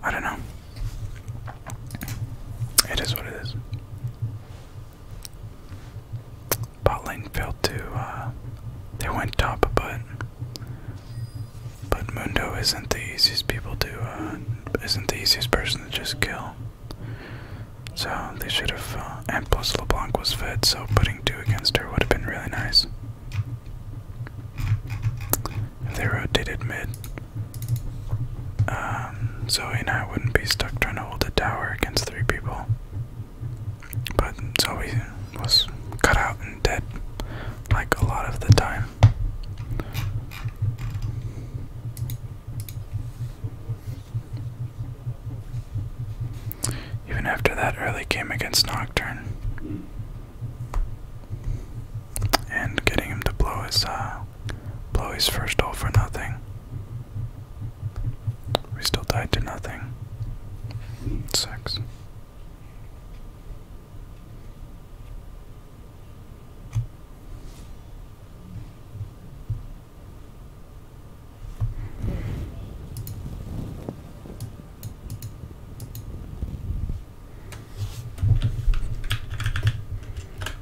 I don't know. It is what it is. Bot lane failed to, uh, they went top, but, but Mundo isn't the easiest people to, uh, isn't the easiest person to just kill. So they should have, uh, and plus LeBlanc was fed, so putting two against her would have been really nice. They they rotated mid, um, Zoe and I wouldn't be stuck trying to hold a tower against three people. But Zoe was cut out and dead, like a lot of the time. Even after that early game against Nocturne and getting him to blow his uh, blow his first hole for nothing. We are still tied to nothing. Six.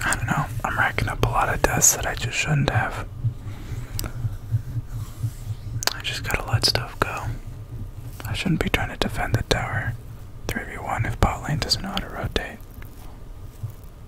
I don't know. I'm racking up a lot of tests that I just shouldn't have. I just gotta let stuff go. I shouldn't be trying to defend the tower. 3v1 if bot lane doesn't know how to rotate.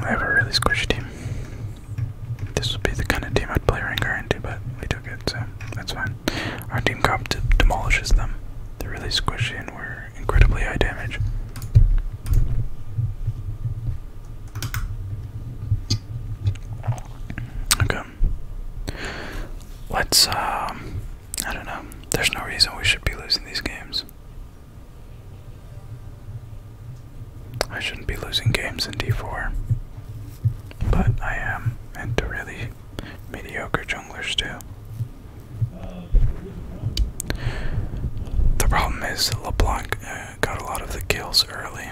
I have a really squishy team. This would be the kind of team I'd play Rengar into, but we took it, so that's fine. Our team comp demolishes them. They're really squishy and we're incredibly high damage. Okay. Let's, um, I don't know. There's no reason we should be losing these games. I shouldn't be losing games in d4, but I am, and to really mediocre junglers too. The problem is LeBlanc uh, got a lot of the kills early,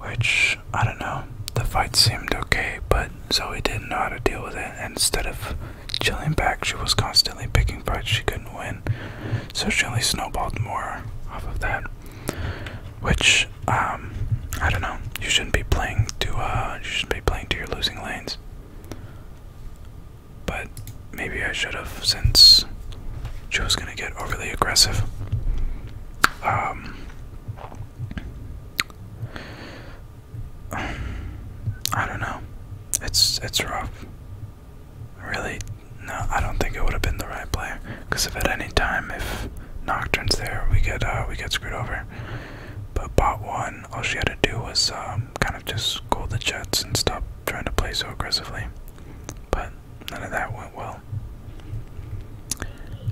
which I don't know. The fight seemed okay, but it, so he didn't know how to deal with it. And instead of chilling back, she was constantly picking fights she couldn't win. So she only snowballed more off of that. Which, um, I don't know. You shouldn't be playing to, uh, you shouldn't be playing to your losing lanes. But maybe I should have, since she was gonna get overly aggressive. Um, I don't know. It's it's rough. Really, no. I don't think it would have been the right play. Because if at any time, if Nocturne's there, we get uh, we get screwed over. But bot one, all she had to do was um, kind of just goal the Jets and stop trying to play so aggressively. But none of that went well.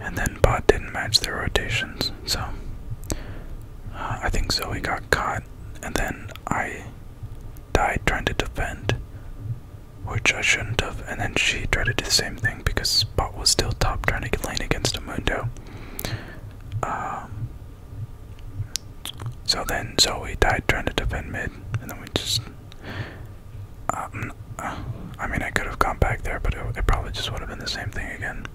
And then bot didn't match their rotations, so uh, I think Zoe got caught, and then I died trying to defend, which I shouldn't have, and then she tried to do the same thing because Spot was still top trying to lane against Amundo. Um, so then Zoe died trying to defend mid, and then we just. Um, uh, I mean, I could have gone back there, but it probably just would have been the same thing again.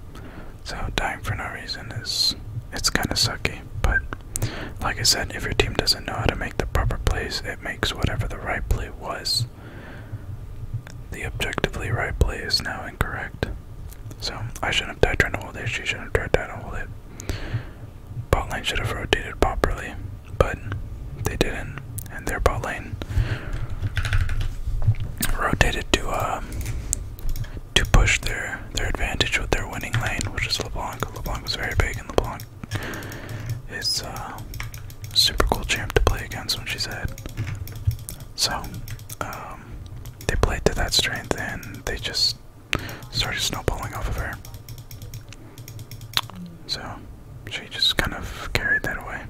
So dying for no reason is it's kinda sucky, but like I said, if your team doesn't know how to make the proper plays, it makes whatever the right play was. The objectively right play is now incorrect. So I shouldn't have died trying to hold it, she shouldn't have tried to hold it. Bot lane should have rotated properly, but they didn't, and their bot lane rotated to a. Um, to push their their advantage with their winning lane, which is LeBlanc. LeBlanc was very big, and LeBlanc is uh, a super cool champ to play against when she's ahead. So um, they played to that strength, and they just started snowballing off of her. So she just kind of carried that away.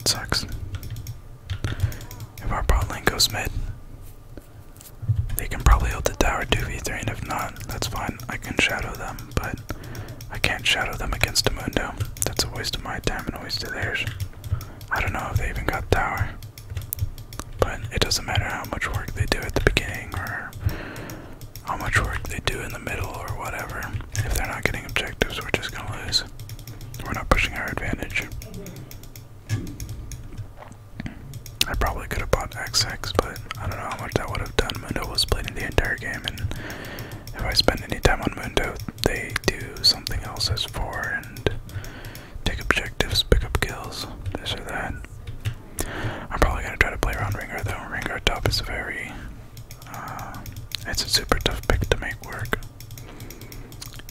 It sucks. If our bot lane goes mid, they can probably hold the tower 2v3, and if not, that's fine. I can shadow them, but I can't shadow them against Amundo. That's a waste of my time and a waste of theirs. I don't know if they even got tower. But it doesn't matter how much work they do at the beginning or how much work they do in the middle or whatever. If they're not getting objectives, we're just gonna lose. We're not pushing our advantage. I probably could have bought XX, but I don't know how much that would have done. Mundo was playing the entire game, and if I spend any time on Mundo, they do something else as four and take objectives, pick up kills, this or that. I'm probably gonna try to play around Ringer though. Ringer top is very. Uh, it's a super tough pick to make work.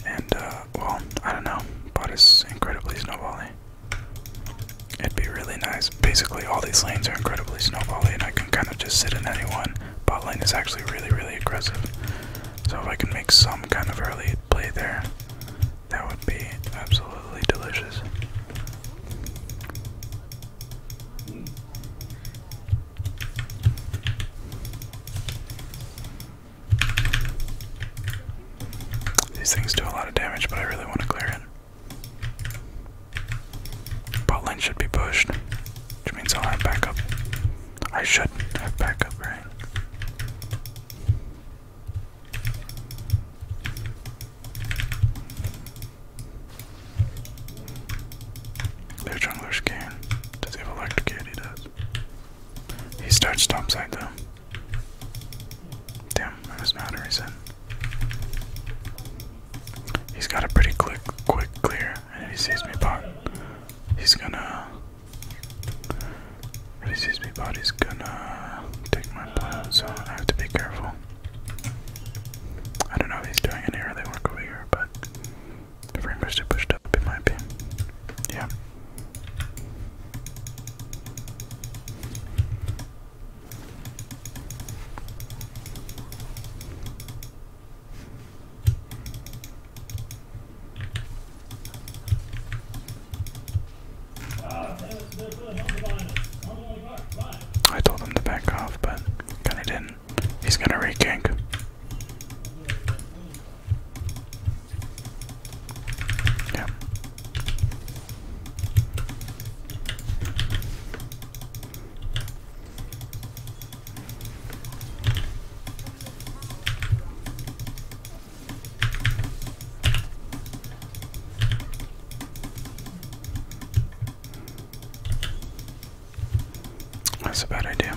And, uh, well, I don't know, but it's incredibly snowballing. It'd be really nice. Basically, all these lanes are incredibly snowballing, and I can kind of just sit in any one. Bot lane is actually really, really aggressive. So if I can make some kind of early play there, that would be absolutely delicious. These things do a lot of damage, but I really want to clear it. Bot lane should be pushed, which means I'll have backup. I should have backup, right? Their jungler's game. Does have electrocute? does. He starts top side though. Damn, that does He's got a pretty quick, quick clear, and if he sees me bot, he's gonna. If he sees me bot, he's gonna take my blood, so I have to be careful. I don't know if he's doing any early work over here, but the frame rates too pushed up, in my opinion. Yeah. I told him to back off, but kinda didn't. He's gonna re yeah. That's a bad idea.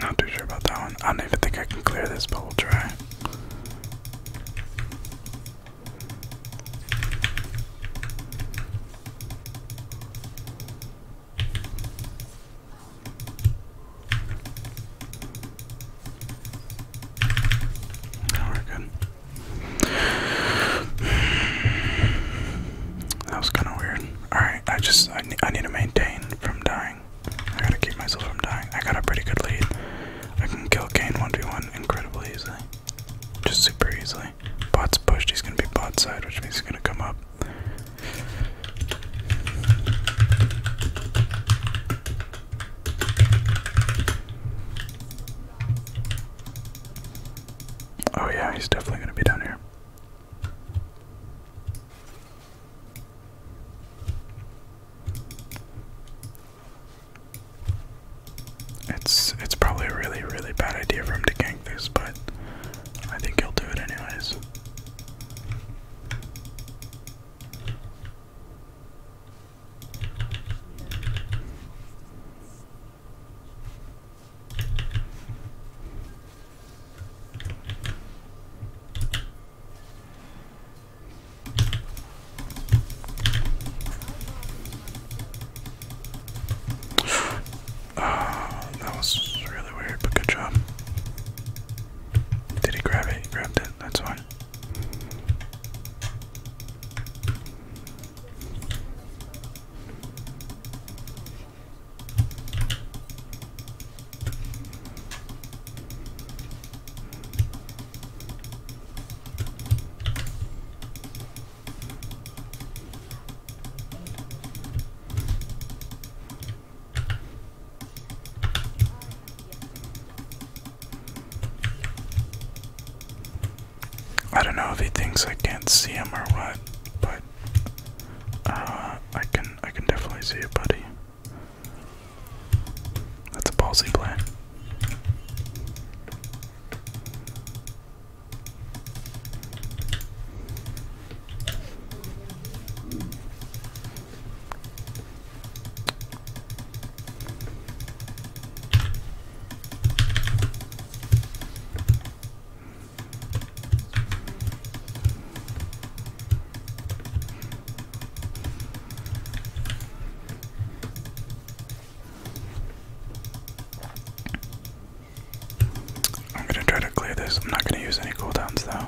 Not too sure about that one. I don't even think I can clear this, but we'll try. we're good. That was kind of weird. All right, I just I, I need to maintain from dying. I gotta keep myself from dying. I got a pretty good lead. I can kill Kane 1v1 incredibly easily. Just super easily. Bot's pushed, he's gonna be bot side, which means he's gonna come up. Oh yeah, he's definitely gonna be down here. It's it's probably a really really bad idea for him to gank this, but I think he'll do it anyways. Oh, that was really weird, but good job. Did he grab it? He grabbed it, that's fine. I don't know if he thinks I can't see him or what, but uh, I can I can definitely see it, buddy. That's a ballsy plan. I'm gonna try to clear this. I'm not gonna use any cooldowns though.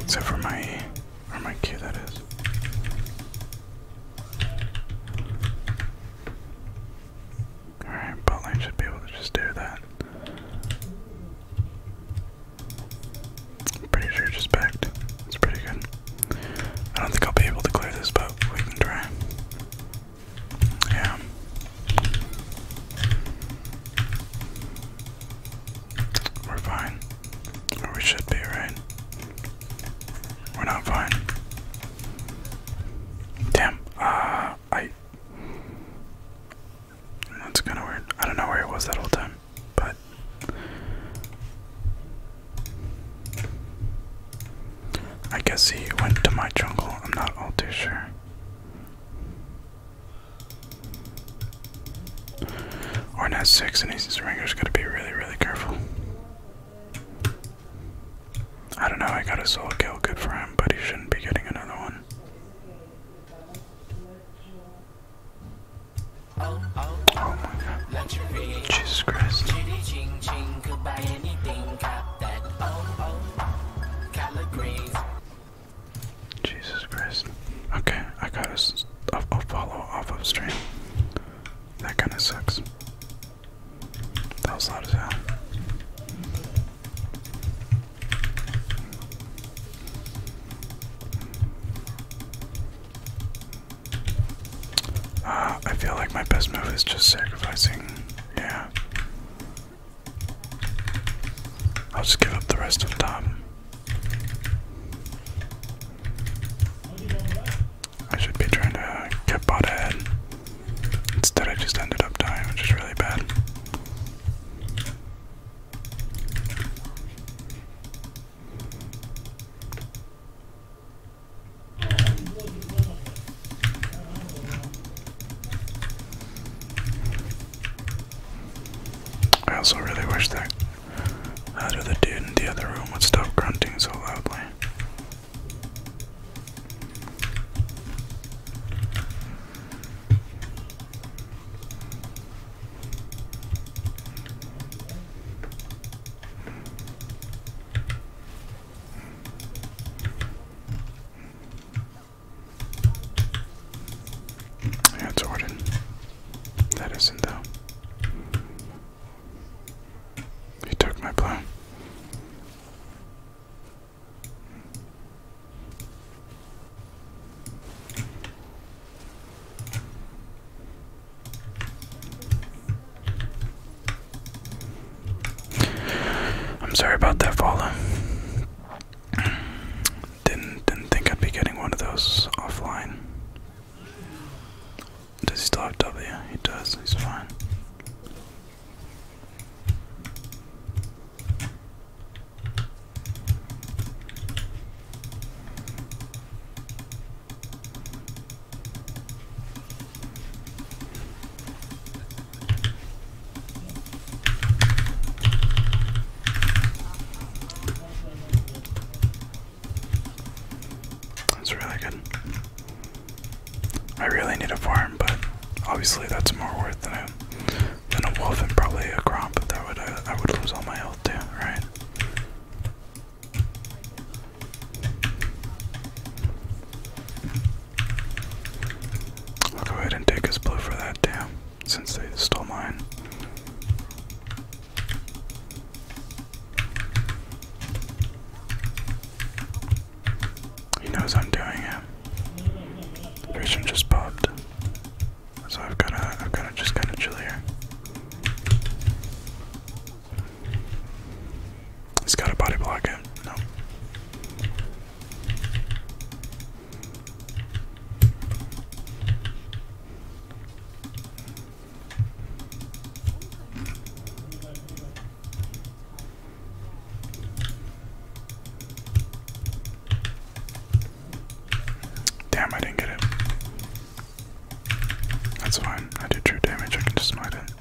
Except for my or my Q that is. Alright, bot lane should be able to just do that i pretty sure just backed. It's pretty good. I don't think I'll be able to clear this, but we can try. Yeah. We're fine. Or we should be, right? We're not fine. Damn. Uh, I. That's kind of weird. I don't know where he was that whole time, but. I guess he went to my jungle. I'm not all too sure. Orn has six, and he's his ringer's gotta be really, really careful. I don't know, I got a soul kill, good for him, but he shouldn't be getting another one. Jesus Christ. Jesus Christ. Okay, I got a, a follow off of stream. That kind of sucks. That was loud as hell. Ah, I feel like my best move is just sacrificing. Yeah. I'll just give up the rest of Tom. I should be trying to get bot ahead. Instead, I just ended up dying, which is really bad. I also really wish that out of the dude in the other room would stop grunting so loudly. That's Orton. That isn't though. He took my blow. I'm sorry about that, Fala. Didn't didn't think I'd be getting one of those offline. Does he still have W? He does. He's fine. That's really good. I really need a farm, but obviously that's more worth than I okay. a wolf and probably a crop, but that would uh, I would lose all my health too, right? I'll go ahead and take his blue for that too, since they stole mine. He knows I'm doing it. Vision just popped. So I've got a, have got a, just kind of chill here. He's got a body block in. Damn, I didn't get it. That's fine. I did true damage. I can just smite it.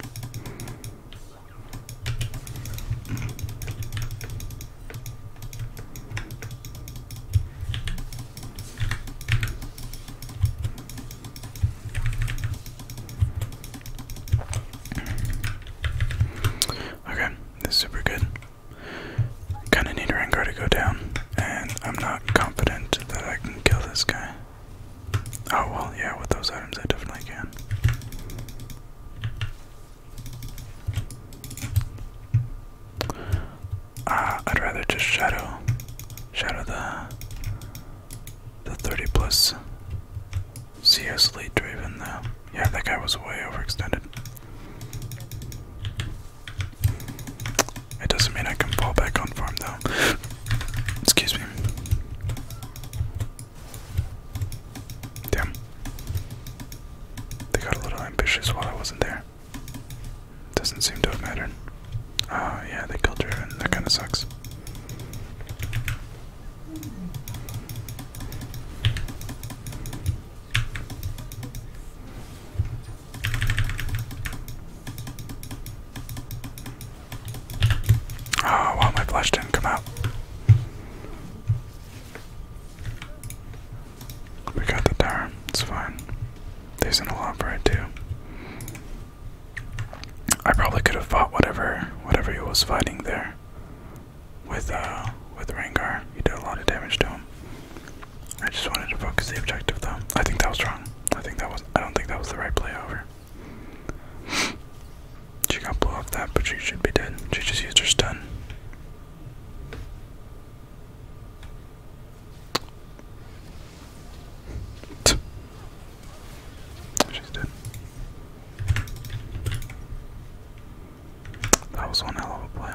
Okay, this super good. Kinda need Rengar to go down, and I'm not confident that I can kill this guy. Oh well, yeah, with those items I definitely can. Uh, I'd rather just shadow, shadow the the 30 plus CS lead Draven though. Yeah, that guy was way overextended. It doesn't mean I can fall back on farm though. Excuse me. Damn. They got a little ambitious while I wasn't there. Doesn't seem to have mattered. Oh, yeah, they killed her, that kind of sucks. Oh, wow, my flash didn't come out. We got the tower, it's fine. There's an a lot right too. I probably could have fought whatever whatever he was fighting there with uh with Rengar. You did a lot of damage to him. I just wanted to focus the objective though. I think that was wrong. I think that was I don't think that was the right play over. she got blow off that, but she should be dead. She just used her stun. She's dead. That was one hell of a play.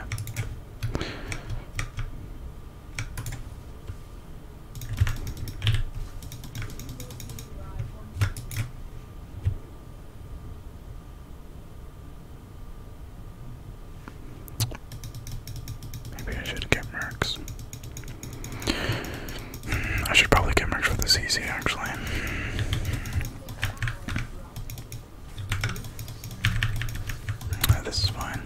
Maybe I should get Mercs. I should probably get Mercs for this easy, actually this is fine.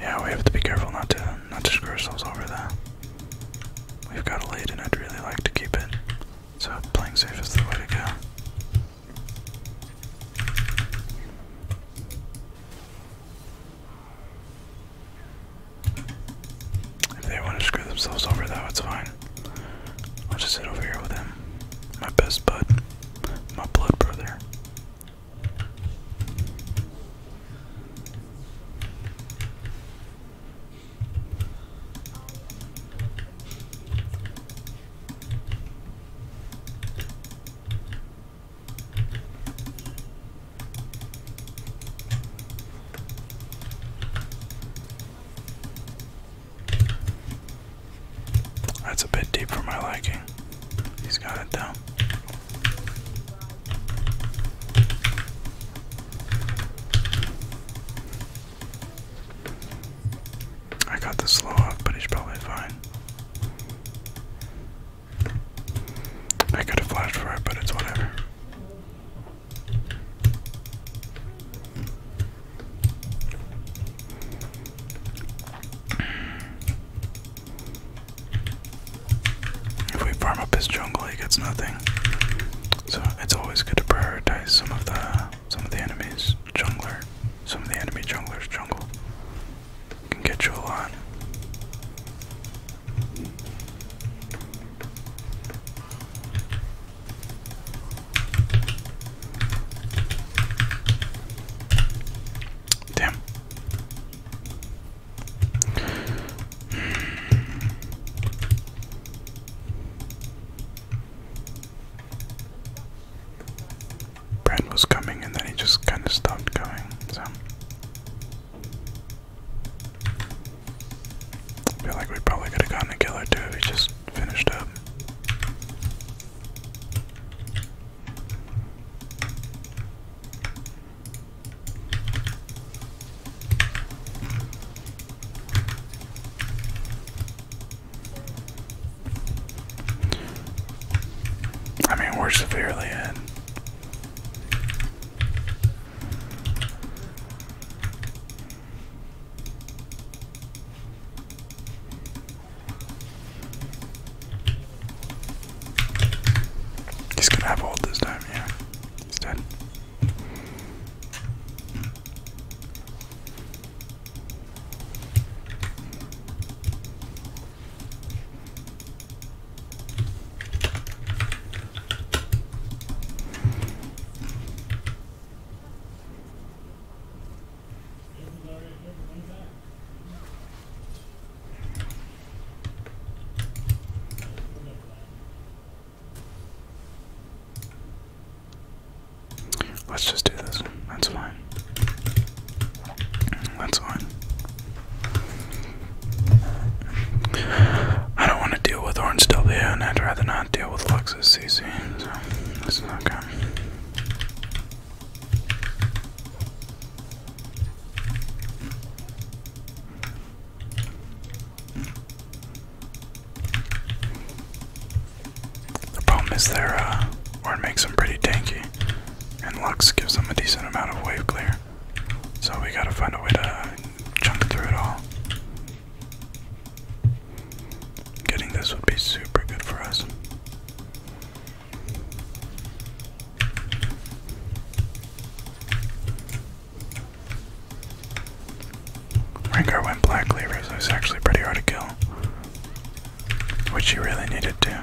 Yeah, we have to be careful not to not to screw ourselves over there. We've got a lead, and I'd really like to keep it. So playing safe is the way to go. If they want to screw themselves over, though, it's fine. I'll just sit over here with him. My best bud. My blood brother. That's a bit deep for my liking. He's got it though. I got the slow up, but he's probably fine. I could have flashed for it, but it's whatever. If we farm up his jungle, he gets nothing. So it's always good to prioritize some of the some of the enemies jungler, some of the enemy junglers jungle can get you a lot. Damn. Brand was coming and then he just kind of stopped coming, so I feel like we probably could have gotten a killer too if he just finished up. I mean, we're severely in. He's gonna have hold this time, yeah. He's dead. Let's just do this. That's fine. That's fine. I don't want to deal with Orange W, and I'd rather not deal with Luxus CC, so this is not good. The problem is their uh, ward makes them pretty tanky, and Lux gives them a decent amount of wave clear. So we gotta find a way to jump through it all. Getting this would be super good for us. Rengar went black levers, so it's actually pretty hard to kill. Which you really needed to.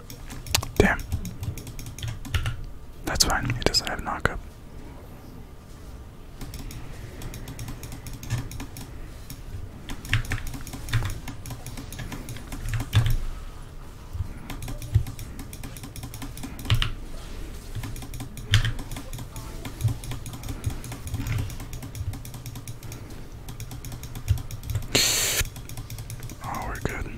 Damn. That's fine. He doesn't have knockup. Oh, we're good.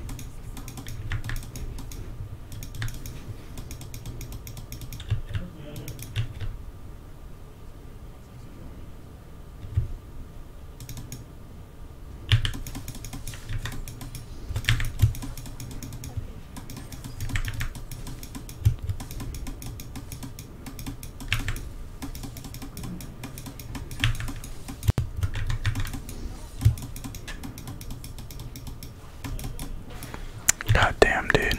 God damn, dude.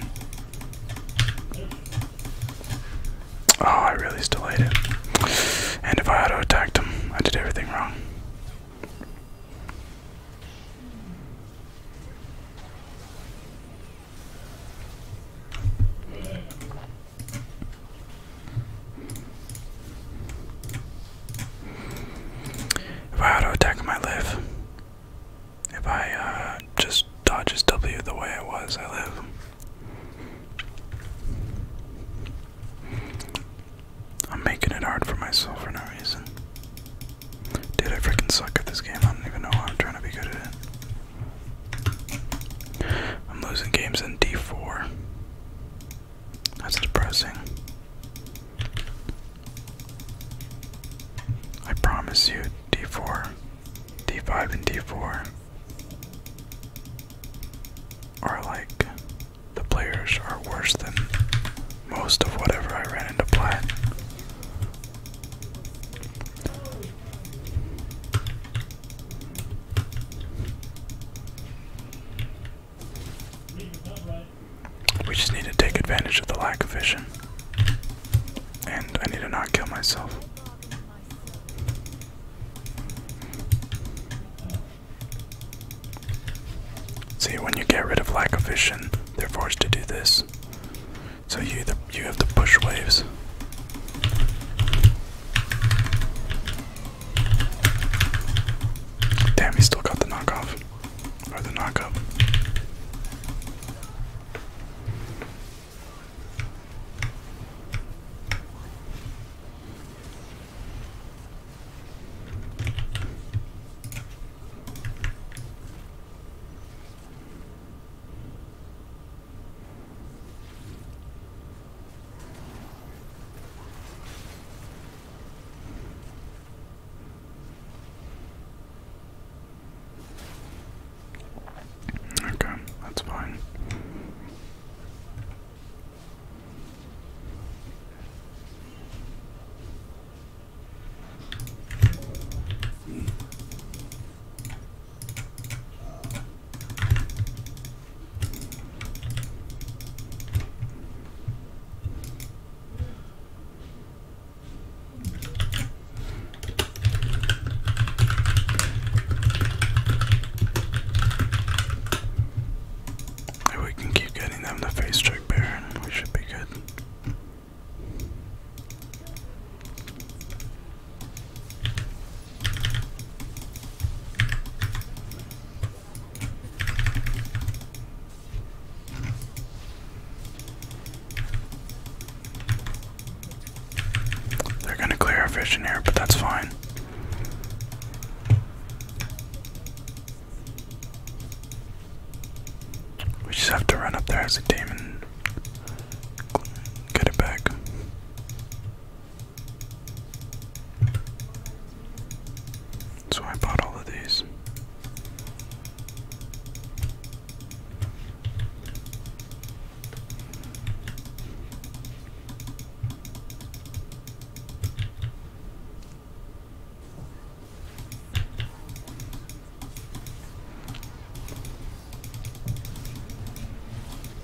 Oh, I really still hate And if I auto attacked him, I did everything wrong. If I auto attack him, I live. If I uh, just dodge W the way I was, I live. I'm making it hard for myself for no reason. Dude, I freaking suck at this game. I don't even know why I'm trying to be good at it. I'm losing games in D4. That's depressing. I promise you, D4, D5, and D4 are like the players are worse than most of whatever I ran into plat. We just need to take advantage of the lack of vision. And I need to not kill myself. See, when you get rid of lack of vision, they're forced to do this. So you either, you have to push waves. Damn, he still got the knockoff. Or the knockup. Okay, that's fine. If we can keep getting them the face check Baron, we should be good. They're going to clear our fish here, but that's fine. We just have to run up there as a team and get it back. So I bought all of these.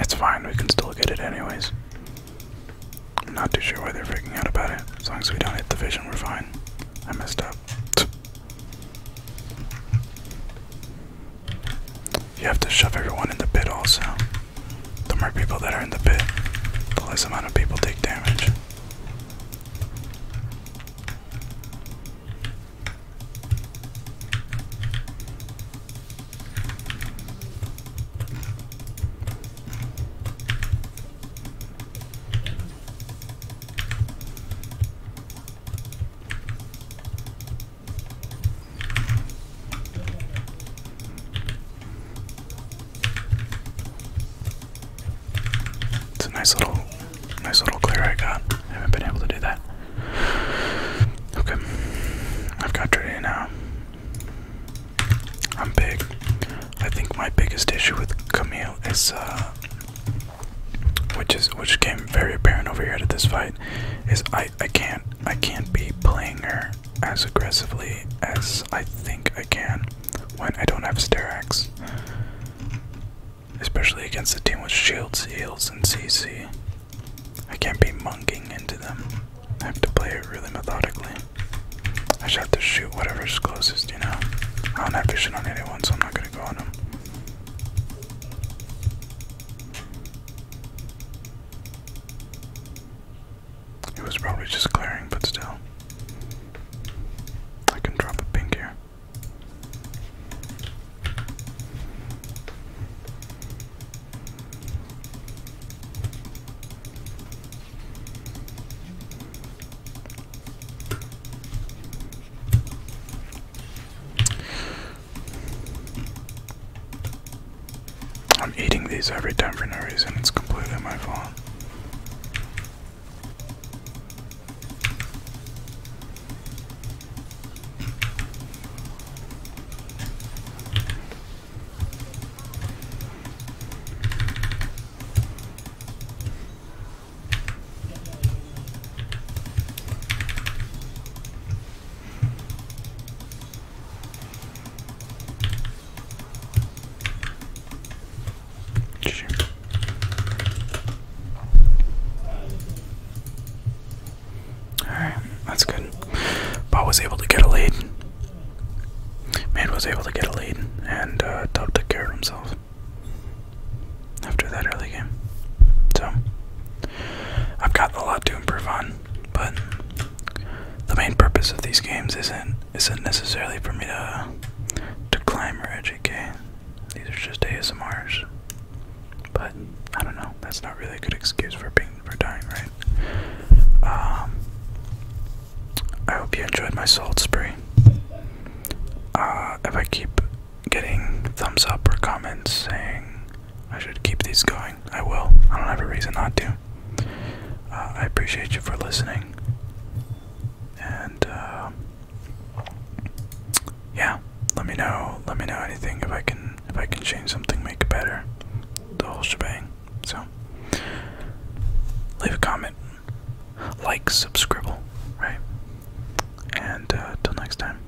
It's fine, we can still get it anyways. I'm not too sure why they're freaking out about it. As long as we don't hit the vision, we're fine. I messed up. You have to shove everyone in the pit also. The more people that are in the pit, the less amount of people take damage. It's a nice little, nice little clear I got. I haven't been able to do that. Okay, I've got Dreddy now. I'm big. I think my biggest issue with Camille is, uh, which is which came very apparent over here to this fight, is I I can't I can't be playing her as aggressively as I think I can when I don't have Sterax. Especially against a team with shields, Seals and CC. I can't be monkeying into them. I have to play it really methodically. I just have to shoot whatever's closest, you know? I am not fishing on anyone, so I'm not gonna go on them. It was probably just clearing, but still. I can drop a pink here. I'm eating these every time for no reason, it's completely my fault. Alright, that's good. Bob was able to get a lead. Man was able to get a lead, and uh, took care of himself after that early game. So, I've got a lot to improve on but the main purpose of these games isn't isn't necessarily for me to to climb or educate. These are just ASMRs. But I don't know. That's not really a good excuse for being for dying, right? Um, I hope you enjoyed my salt spray. Uh, if I keep getting thumbs up or comments saying I should keep these going, I will. I don't have a reason not to. Uh, I appreciate you for listening. And uh, yeah, let me know. Let me know anything if I can if I can change something, make it better. The whole shebang. So leave a comment, like, subscribe, right? And uh, till next time.